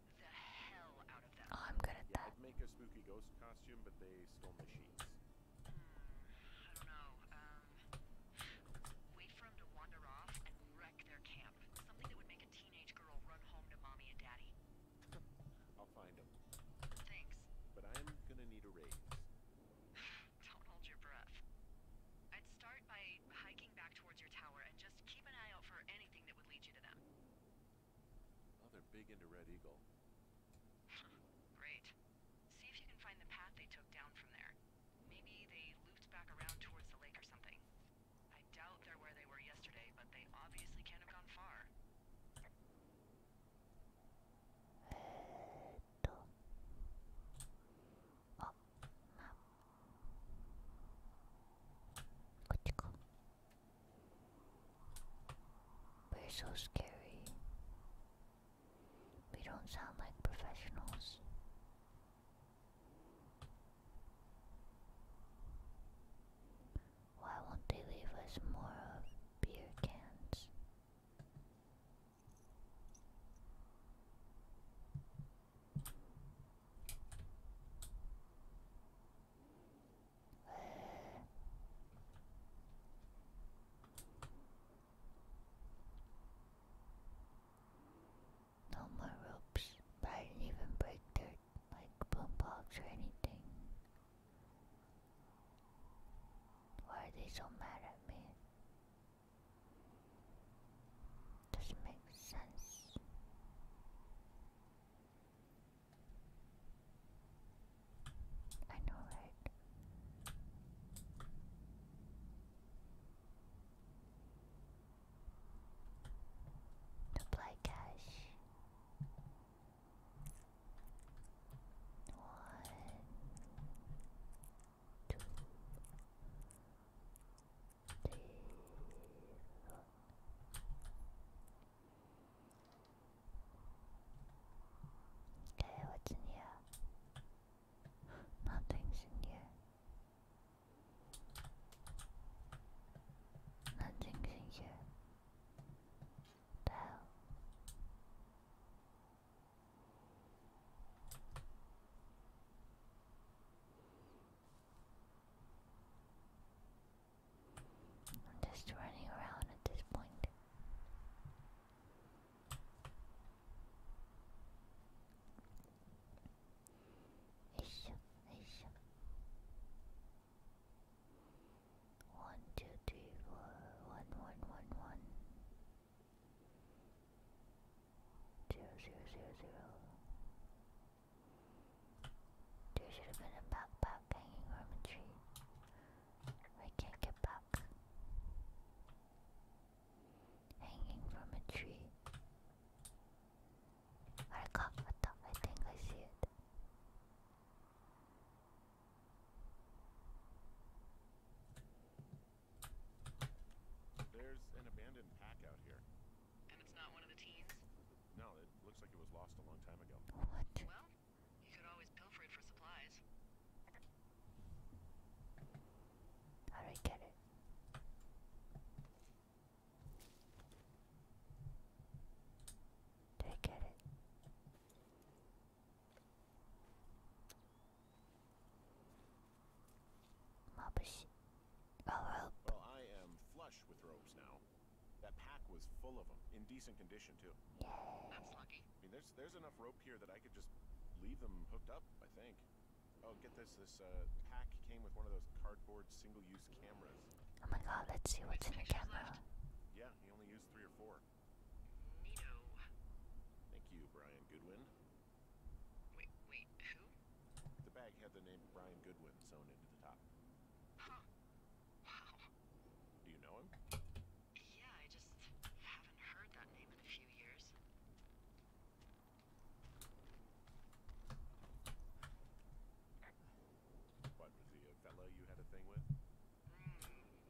Oh, I'm good at that. I'd make a spooky ghost costume, but they stole my sheets. Hmm, I don't know. Um, wait for them to wander off and wreck their camp. Something that would make a teenage girl run home to mommy and daddy. I'll find them. Thanks. But I'm gonna need a raise. <sighs> don't hold your breath. I'd start by hiking back towards your tower and just keep an eye out for anything that would lead you to them they're big into Red Eagle. Hmm, great. See if you can find the path they took down from there. Maybe they looped back around towards the lake or something. I doubt they're where they were yesterday, but they obviously can't have gone far. We're so scary. We don't sound like professionals. Why won't they leave us more of beer cans? No more ropes, I didn't even break dirt like boombox or anything. Why are they so mad at me? Doesn't make sense. I know, right? Apply cash. One, two, three, four. Okay, what's in here? Nothing's in here. Nothing's in here. the hell? I'm just running around at this point. Ish, ish. One, two, three, four, one, one, one, one. Zero, zero, zero, zero. There should have been a backpack hanging from a tree. I can't get back. Hanging from a tree. I got what I think I see it. There's an abandoned pack out here. And it's not one of the teens? No, it looks like it was lost a long time ago. What? Well, you could always pilfer it for supplies. How I get it? Did I get it? Mabushi. Oh, rope. Well, I am flush with ropes now. That pack was full of them, in decent condition too. That's lucky. I mean, there's there's enough rope here that I could just leave them hooked up. I think. Oh, get this! This uh, pack came with one of those cardboard single-use cameras. Oh my God! Let's see what's in the camera. Yeah, he only used three or four. Neato. Thank you, Brian Goodwin. Wait, wait, who? The bag had the name Brian Goodwin sewn into the top. Do you know him? Yeah, I just haven't heard that name in a few years. What was he a fella you had a thing with? Mm,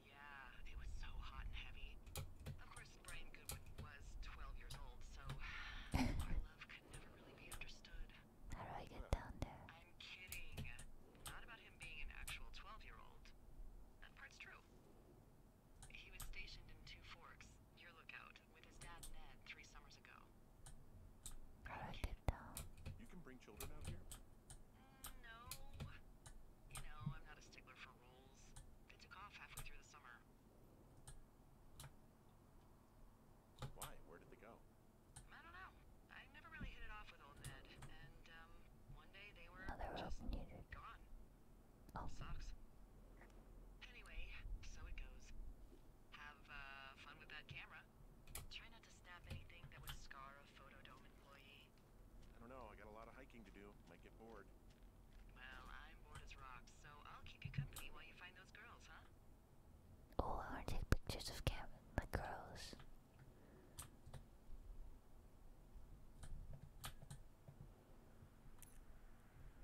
yeah, it was so hot and heavy. Of course, Brian Goodwin was 12 years old, so <sighs> my love could never really be understood. How do I get down there? I'm kidding. Not about him being an actual 12-year-old. That part's true. He was stationed in Two Forks, your lookout, with his dad Ned three summers ago. I get down? You can bring children out here. Mm, no. You know, I'm not a stickler for rules. They took off halfway through the summer. Why? Where did they go? I don't know. I never really hit it off with old Ned, and um, one day they were oh, they just gone. Oh, socks. Anyway, so it goes. Have uh, fun with that camera. Try not to snap anything that would scar a photodome employee. I don't know. I got a lot of hiking to do. Might get bored. Well, I'm bored as rocks, so I'll keep you company while you find those girls, huh? Oh, I take pictures of Cam the girls.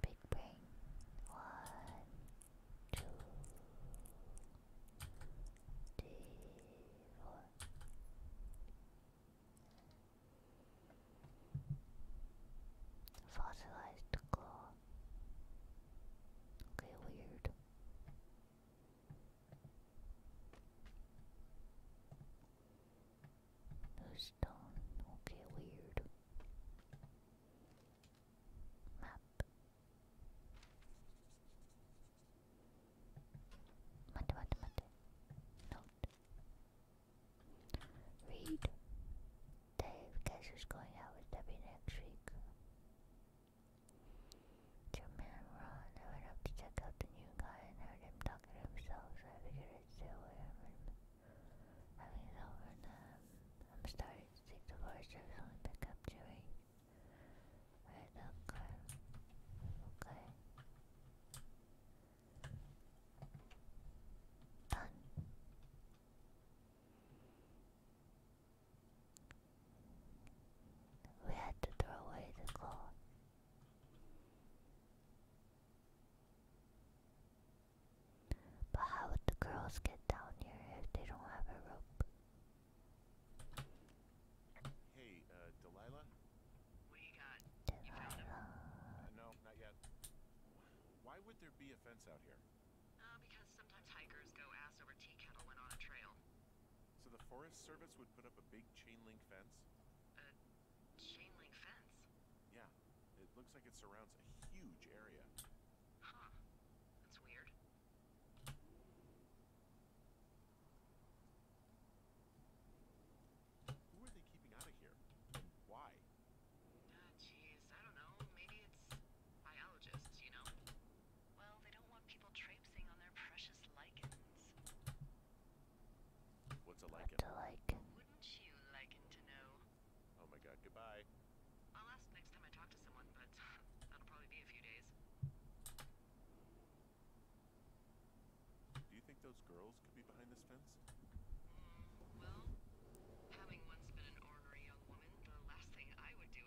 Big brain. One, two, three, four. Fossilized claw. Okay, weird. Who's done? Okay, weird. Map. Mate, mate, mate. Note. Read. Dave, guess who's going out with Debbie next Two men were went up to check out the new guy and heard him talking himself, so I figured I'd stay Having is over and I'm starting to think the forest service only pick up chewing. Right, okay. Okay. Done. We had to throw away the cloth. But how would the girls get down here if they don't have a rope? Hey, uh, Delilah? What got? You found him? Uh, no, not yet. Why would there be a fence out here? Uh, because sometimes hikers go ass over tea kettle when on a trail. So the Forest Service would put up a big chain link fence? A chain link fence? Yeah. It looks like it surrounds a huge area. Huh. That's weird. Who are they keeping out of here? why? Uh, I don't know. Maybe it's biologists, you know? they don't want people traipsing on their precious lichens. What's a lichen? Oh my god, goodbye. I'll ask next time I talk to someone, but <laughs> that'll probably be a few days. Do you think those girls could be behind this fence? Mm, well, having once been an ornery young woman, the last thing I would do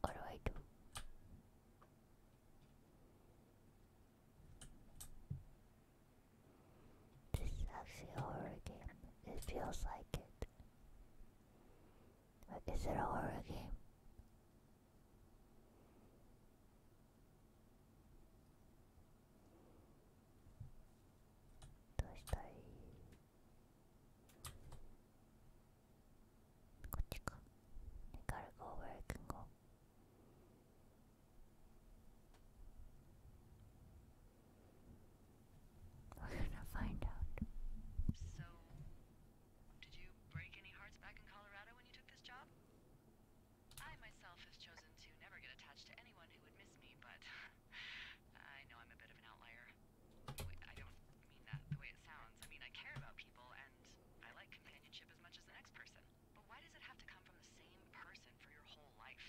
What do I do? This actually horror game. It feels like it. it a horror game? どうしたいこっちか。I gotta go where I can go. We're gonna find out. So, did you break any hearts back in Colorado when you took this job? I myself have chosen to never get attached to anyone who would miss me, but <laughs> I know I'm a bit of an outlier. I don't mean that the way it sounds. I mean, I care about people, and I like companionship as much as the next person. But why does it have to come from the same person for your whole life?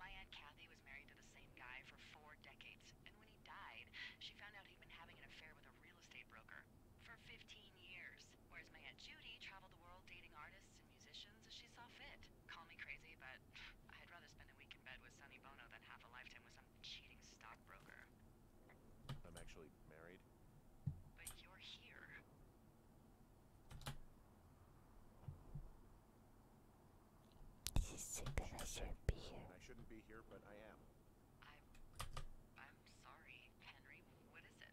My Aunt Kathy was married to the same guy for four decades, and when he died, she found out he'd been having an affair with a real estate broker for 15 years. Whereas my Aunt Judy traveled the world dating artists and musicians as she saw fit. Call me crazy, but <sighs> I'd rather spend a week in bed with Sonny Bono than half a lifetime with some cheating stockbroker. I'm actually married. But you're here. This is I shouldn't be here. I shouldn't be here, but I'm... I'm sorry, Henry. What is it?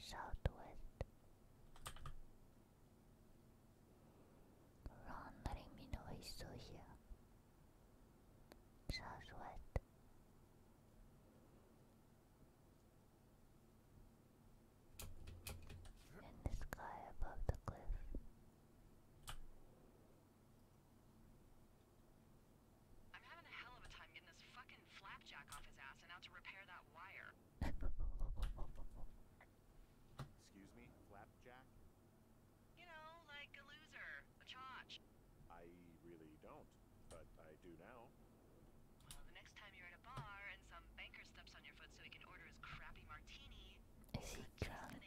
Southwest. Ron letting me know he's still In the sky above the cliff. I'm having a hell of a time getting this fucking flapjack off his ass and out to repair that wire. Excuse me, flapjack? You know, like a loser, a chotch. I really don't, but I do now. is he drunk?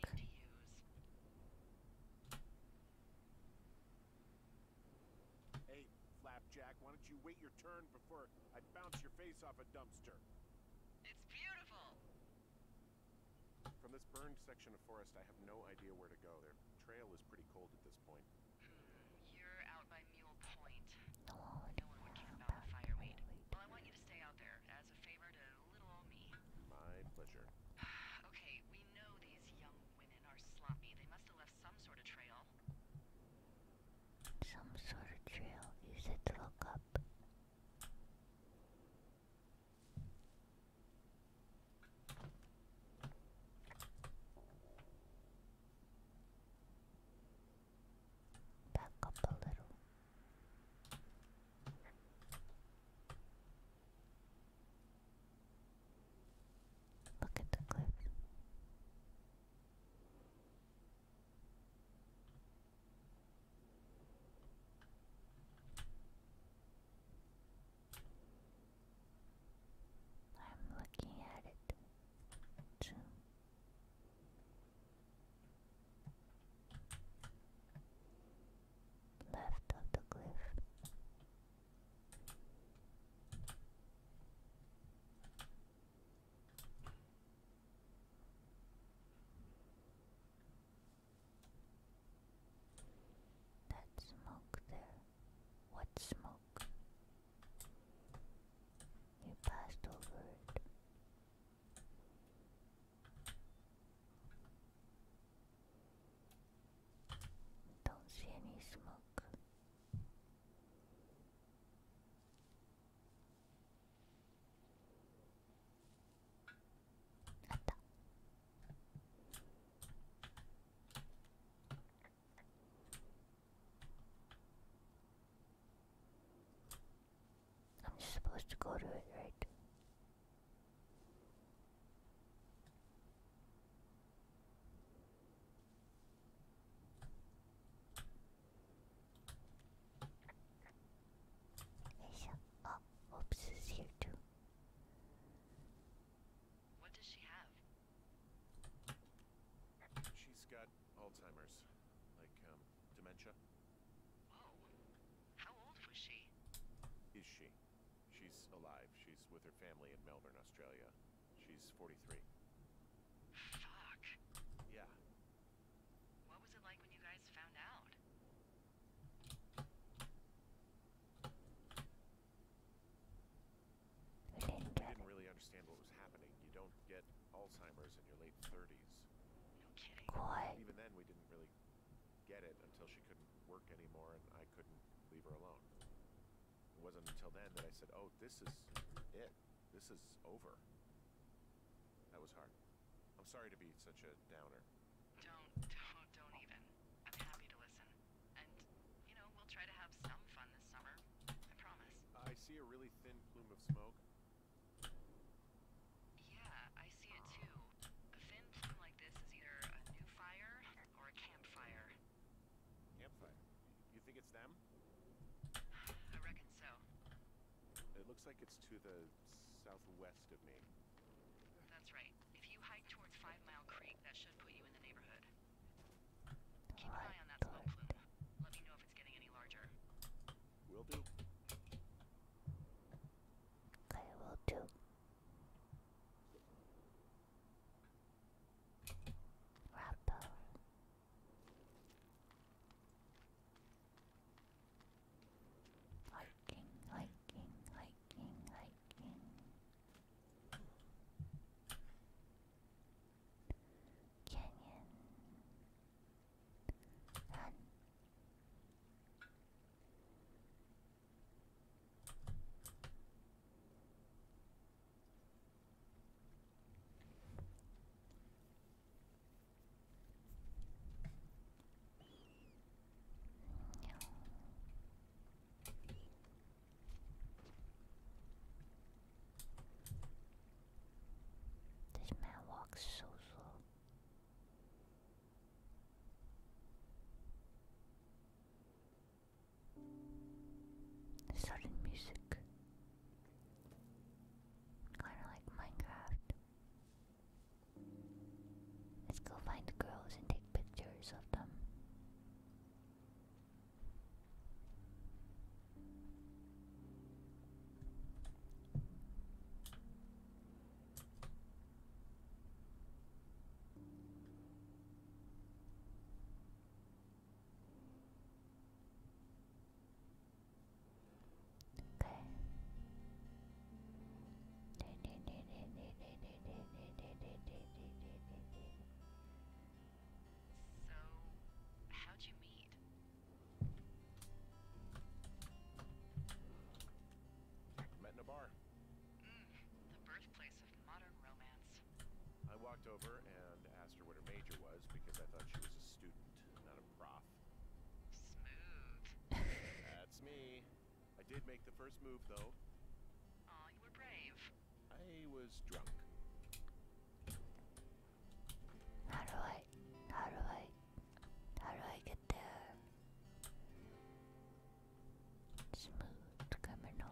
Hey, Flapjack, why don't you wait your turn before I bounce your face off a dumpster? It's beautiful! From this burned section of forest, I have no idea where to go. The trail is pretty cold at this point. Hmm, you're out by Mule Point. No one would care about the fireweed. Well, I want you to stay out there as a favor to my pleasure. <sighs> okay, we know these young women are sloppy. They must have left some sort of trail. Some sort of trail. You said to look up. Back up a little. Look at the cliff. I'm looking at it too left of the cliff. That smoke there. What smoke? You passed over it. Don't see any smoke. I'm supposed to go to it, right? oh, Oops here too. What does she have? She's got Alzheimer's, like um, dementia. Whoa! How old was she? Is she? She's alive. She's with her family in Melbourne, Australia. She's 43. Fuck. Yeah. What was it like when you guys found out? I didn't really understand what was happening. You don't get Alzheimer's in your late 30s. No kidding. Even then, we didn't really get it until she couldn't work anymore and I couldn't leave her alone. It wasn't until then that I said, oh, this is it. This is over. That was hard. I'm sorry to be such a downer. Don't, don't, don't even. I'm happy to listen. And, you know, we'll try to have some fun this summer. I promise. I see a really thin plume of smoke. Yeah, I see it too. A thin plume like this is either a new fire or a campfire. Campfire? You think it's them? I reckon so. It looks like it's to the southwest of me. That's right. If you hike towards Five Mile Creek, that should put you in the neighborhood. Keep an eye on that smoke plume. Let me know if it's getting any larger. Will do. I will do. Rubble. Hiking, hiking, hiking, hiking. Canyon. Run. This man walks so slow. Sudden music. Kinda like Minecraft. Let's go find girls and take pictures of them. Okay. So, how'd you meet? Met in a bar. Mm. I walked over and asked her what her major was because I thought she was a student, not a prof. Smooth. That's me. I did make the first move, though. Aw, you were brave. I was drunk. How do I? How do I? How do I get there? smooth criminal.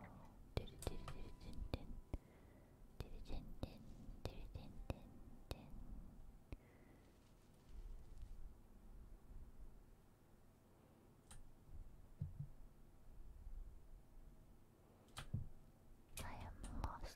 I am lost.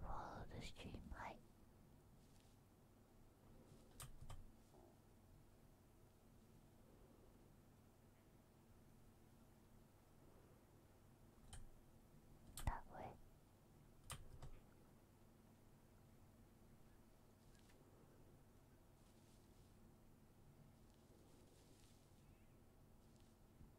Follow the streamlight. That way.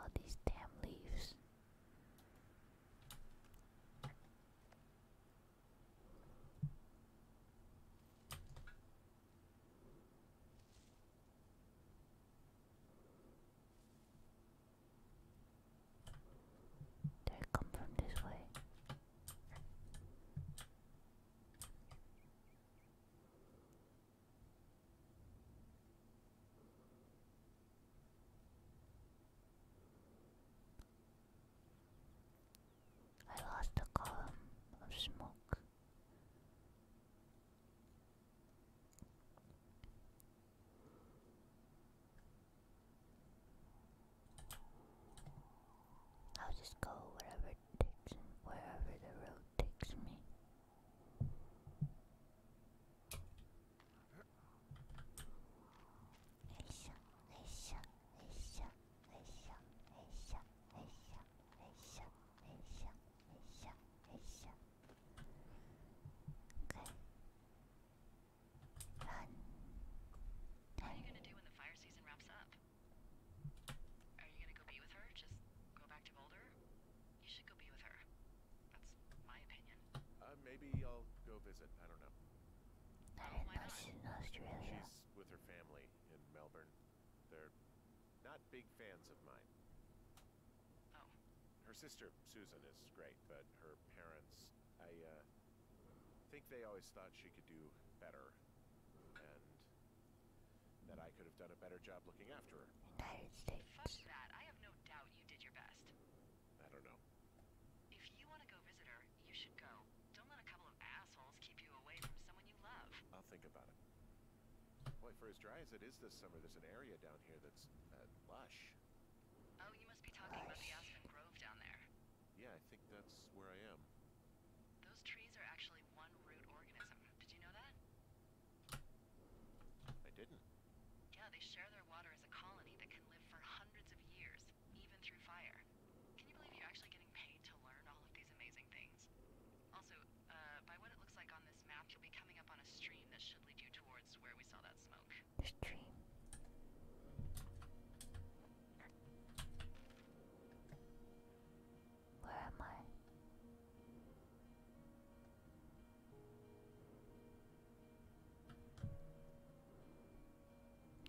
All these damn leaves. Did I come from this way? I lost a column of smoke. I'll just go wherever takes wherever the road takes me. Aisha, Aisha, Aisha, Aisha, Aisha, Aisha, Aisha, Aisha, Aisha, Aisha, Okay. Run. What are you gonna do when the fire season wraps up? Are you gonna go be with her? Just go back to Boulder? You should go be with her. That's my opinion. Uh, maybe I'll go visit. I don't know. I don't know oh, she's in Australia. She's with her family in Melbourne. They're not big fans of mine. Oh. Her sister, Susan, is great, but her parents, I, uh, think they always thought she could do better. And that I could have done a better job looking after her. United States. Fuck that. I have no doubt you did your best. I don't know. If you want to go visit her, you should go. Don't let a couple of assholes keep you away from someone you love. I'll think about it. Boy, for as dry as it is this summer, there's an area down here that's uh, lush. Oh, you must be talking about the Aspen Grove down there. Yeah, I think that's where I am. Those trees are actually one root organism. Did you know that? I didn't. Yeah, they share their water as a colony that can live for hundreds of years, even through fire. Can you believe you're actually getting paid to learn all of these amazing things? Also, uh, by what it looks like on this map, you'll be coming up on a stream that should lead you towards where we saw that smoke. Stream. Where am I?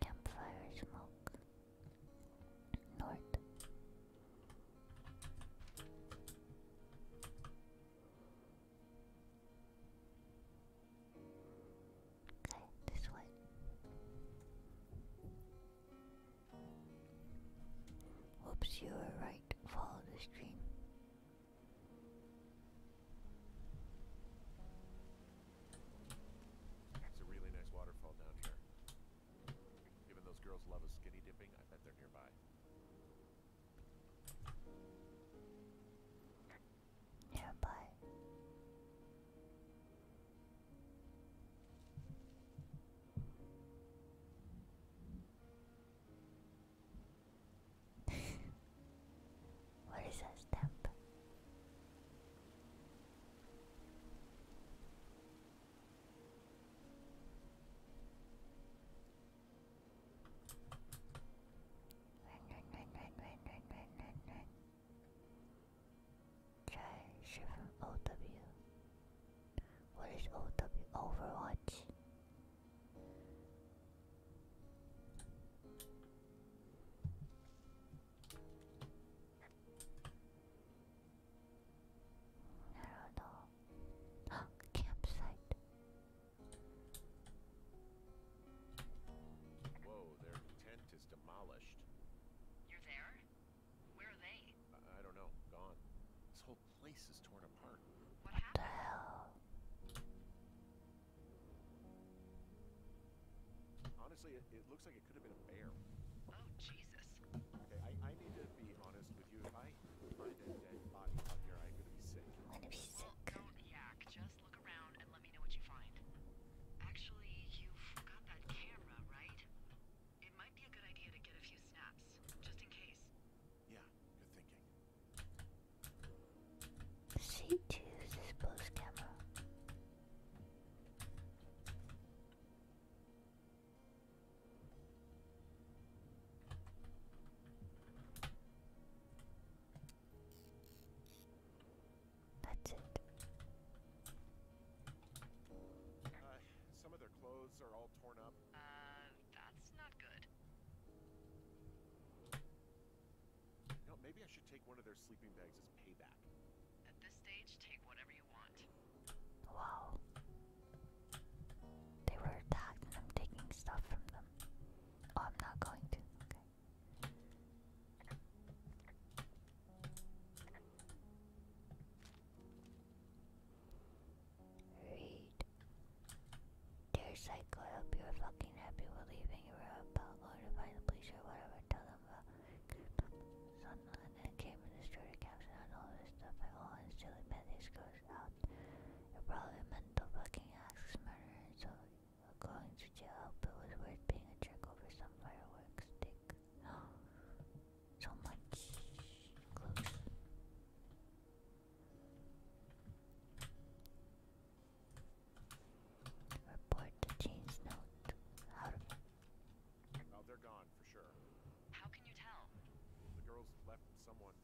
Campfire smoke. North. Okay, this way. Oops, you were right. Follow the stream. It's a really nice waterfall down here. Given those girls love a skinny dipping, I bet they're nearby nearby. <laughs> what is that stamp? Try Shifu OW. What is OW? Overwatch. <gasps> Campsite. Whoa, their tent is demolished. You're there? Where are they? I, don't know. Gone. This whole place is torn apart. What, The hell? Honestly, it, looks like it could have been a bear. Oh, Jesus. Okay, I need to be honest I am gonna be sick. Well, don't yak. Just look around and let me know what you find. Actually, you forgot that camera, right? It might be a good idea to get a few snaps, just in case. Yeah, good thinking. C2 is this camera. Uh, some of their clothes are all torn up. Uh, that's not good. You know, maybe I should take one of their sleeping bags as payback. At this stage, take whatever you want. Wow. They were attacked and I'm taking stuff from them. Oh, I'm not going to. Okay. Read. Dear Psycho, I you fucking happy with leaving. You were about going to find the police whatever. Tell them about Sunland and came and destroyed a caption on all this stuff. all instantly met these girls hours out. You're probably a fucking axe so going to jail, but it was worth being a jerk over some fireworks stick. <gasps> so much Report the note. How to Oh, they're gone for sure. How can you tell? The girls left someone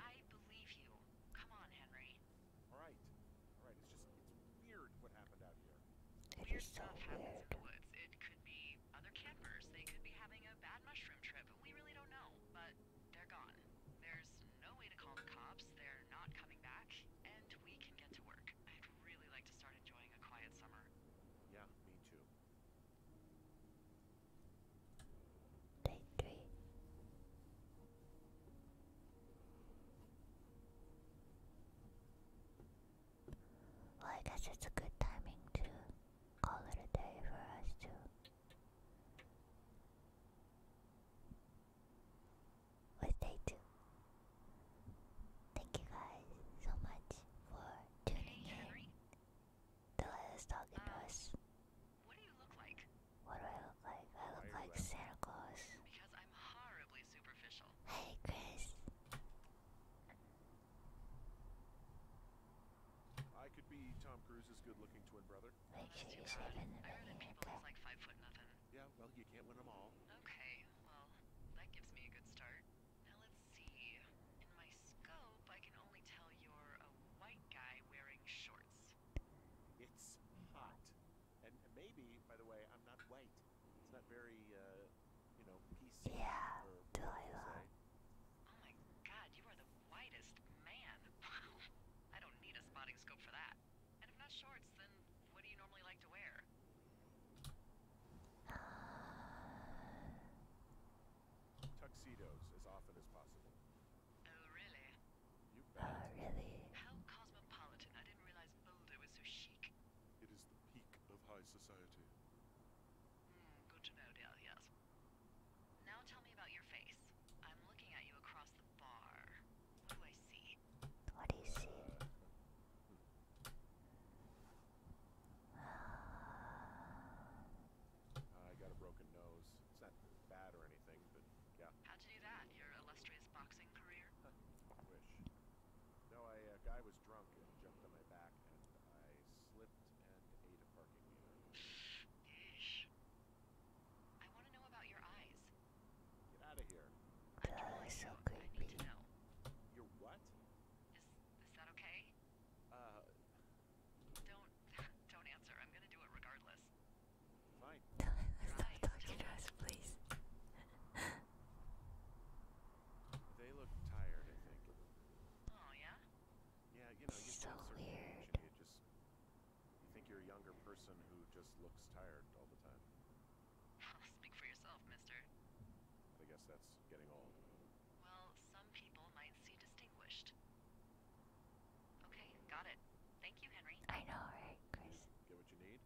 I believe you. Come on, Henry. All right. All right. It's just it's weird what happened out here. weird stuff happens in the woods. It could be other campers. They could be having a bad mushroom trip. We really don't know, but they're gone. There's no way to call the cops. They're not coming back, and we can get to work. I'd really like to start enjoying a quiet summer. Yeah, me too. Day three. Well, I guess it's a good timing to call it a day for us to. With day two. Thank you guys so much for tuning in. To let us us. What do you look like? What do I look like? I look like Santa Claus. Because I'm horribly superficial. Hey, Chris. I could be Tom Cruise's good-looking twin brother. Make oh, you say in the I people okay. like five foot nothing. Yeah, well, you can't win them all. Okay, well, that gives me a good start. Now let's see. In my scope, I can only tell you white guy wearing shorts. It's hot. And maybe, by the way, I'm not white. It's not very, uh, you know, PC. Yeah, or Delilah. Oh my god, you are the whitest man. <laughs> I don't need a spotting scope for that. And if not shorts, then what do you normally like to wear? <sighs> <sighs> <sighs> Tuxedos as often as possible. Oh, really? Oh, really? How cosmopolitan. I didn't realize Boulder was so chic. It is the peak of high society. Hmm, good to know, Dahlias. Now tell me about your face. I'm looking at you across the bar. What do I see? What do you see? Uh, hmm. uh, I got a broken nose. It's not bad or anything, but yeah. How'd you do that? Your illustrious boxing career? Wish. No, I, a uh, guy was drunk and jumped on my back, and I slipped and ate a parking meter. I want to know about your eyes. Get out of here. That is so creepy. I need what? Is, that okay? Uh, don't, <laughs> don't answer. I'm gonna do it regardless. Fine. let <laughs> talking to us, please. <laughs> they look tired, I think. Oh yeah. Yeah, you know, you so weird. You just, you think you're a younger person who just looks tired all the time. Speak for yourself, Mister. I guess that's getting old. Well, some people might see distinguished. Okay, got it. Thank you, Henry. I know, Chris? Get what you need?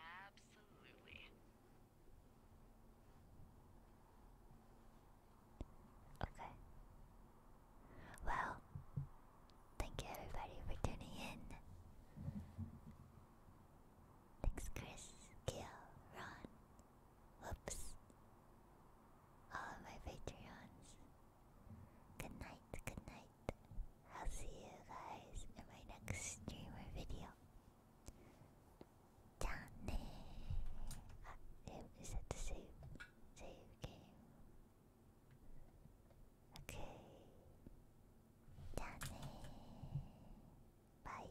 Absolutely. Okay. Well, thank you everybody for tuning in. Thanks, Chris, Gil, Ron. Whoops all my Patreons. Good night, good night. I'll see you guys in my next stream video. Down Ah, is that the save? Save game. Okay. Bye.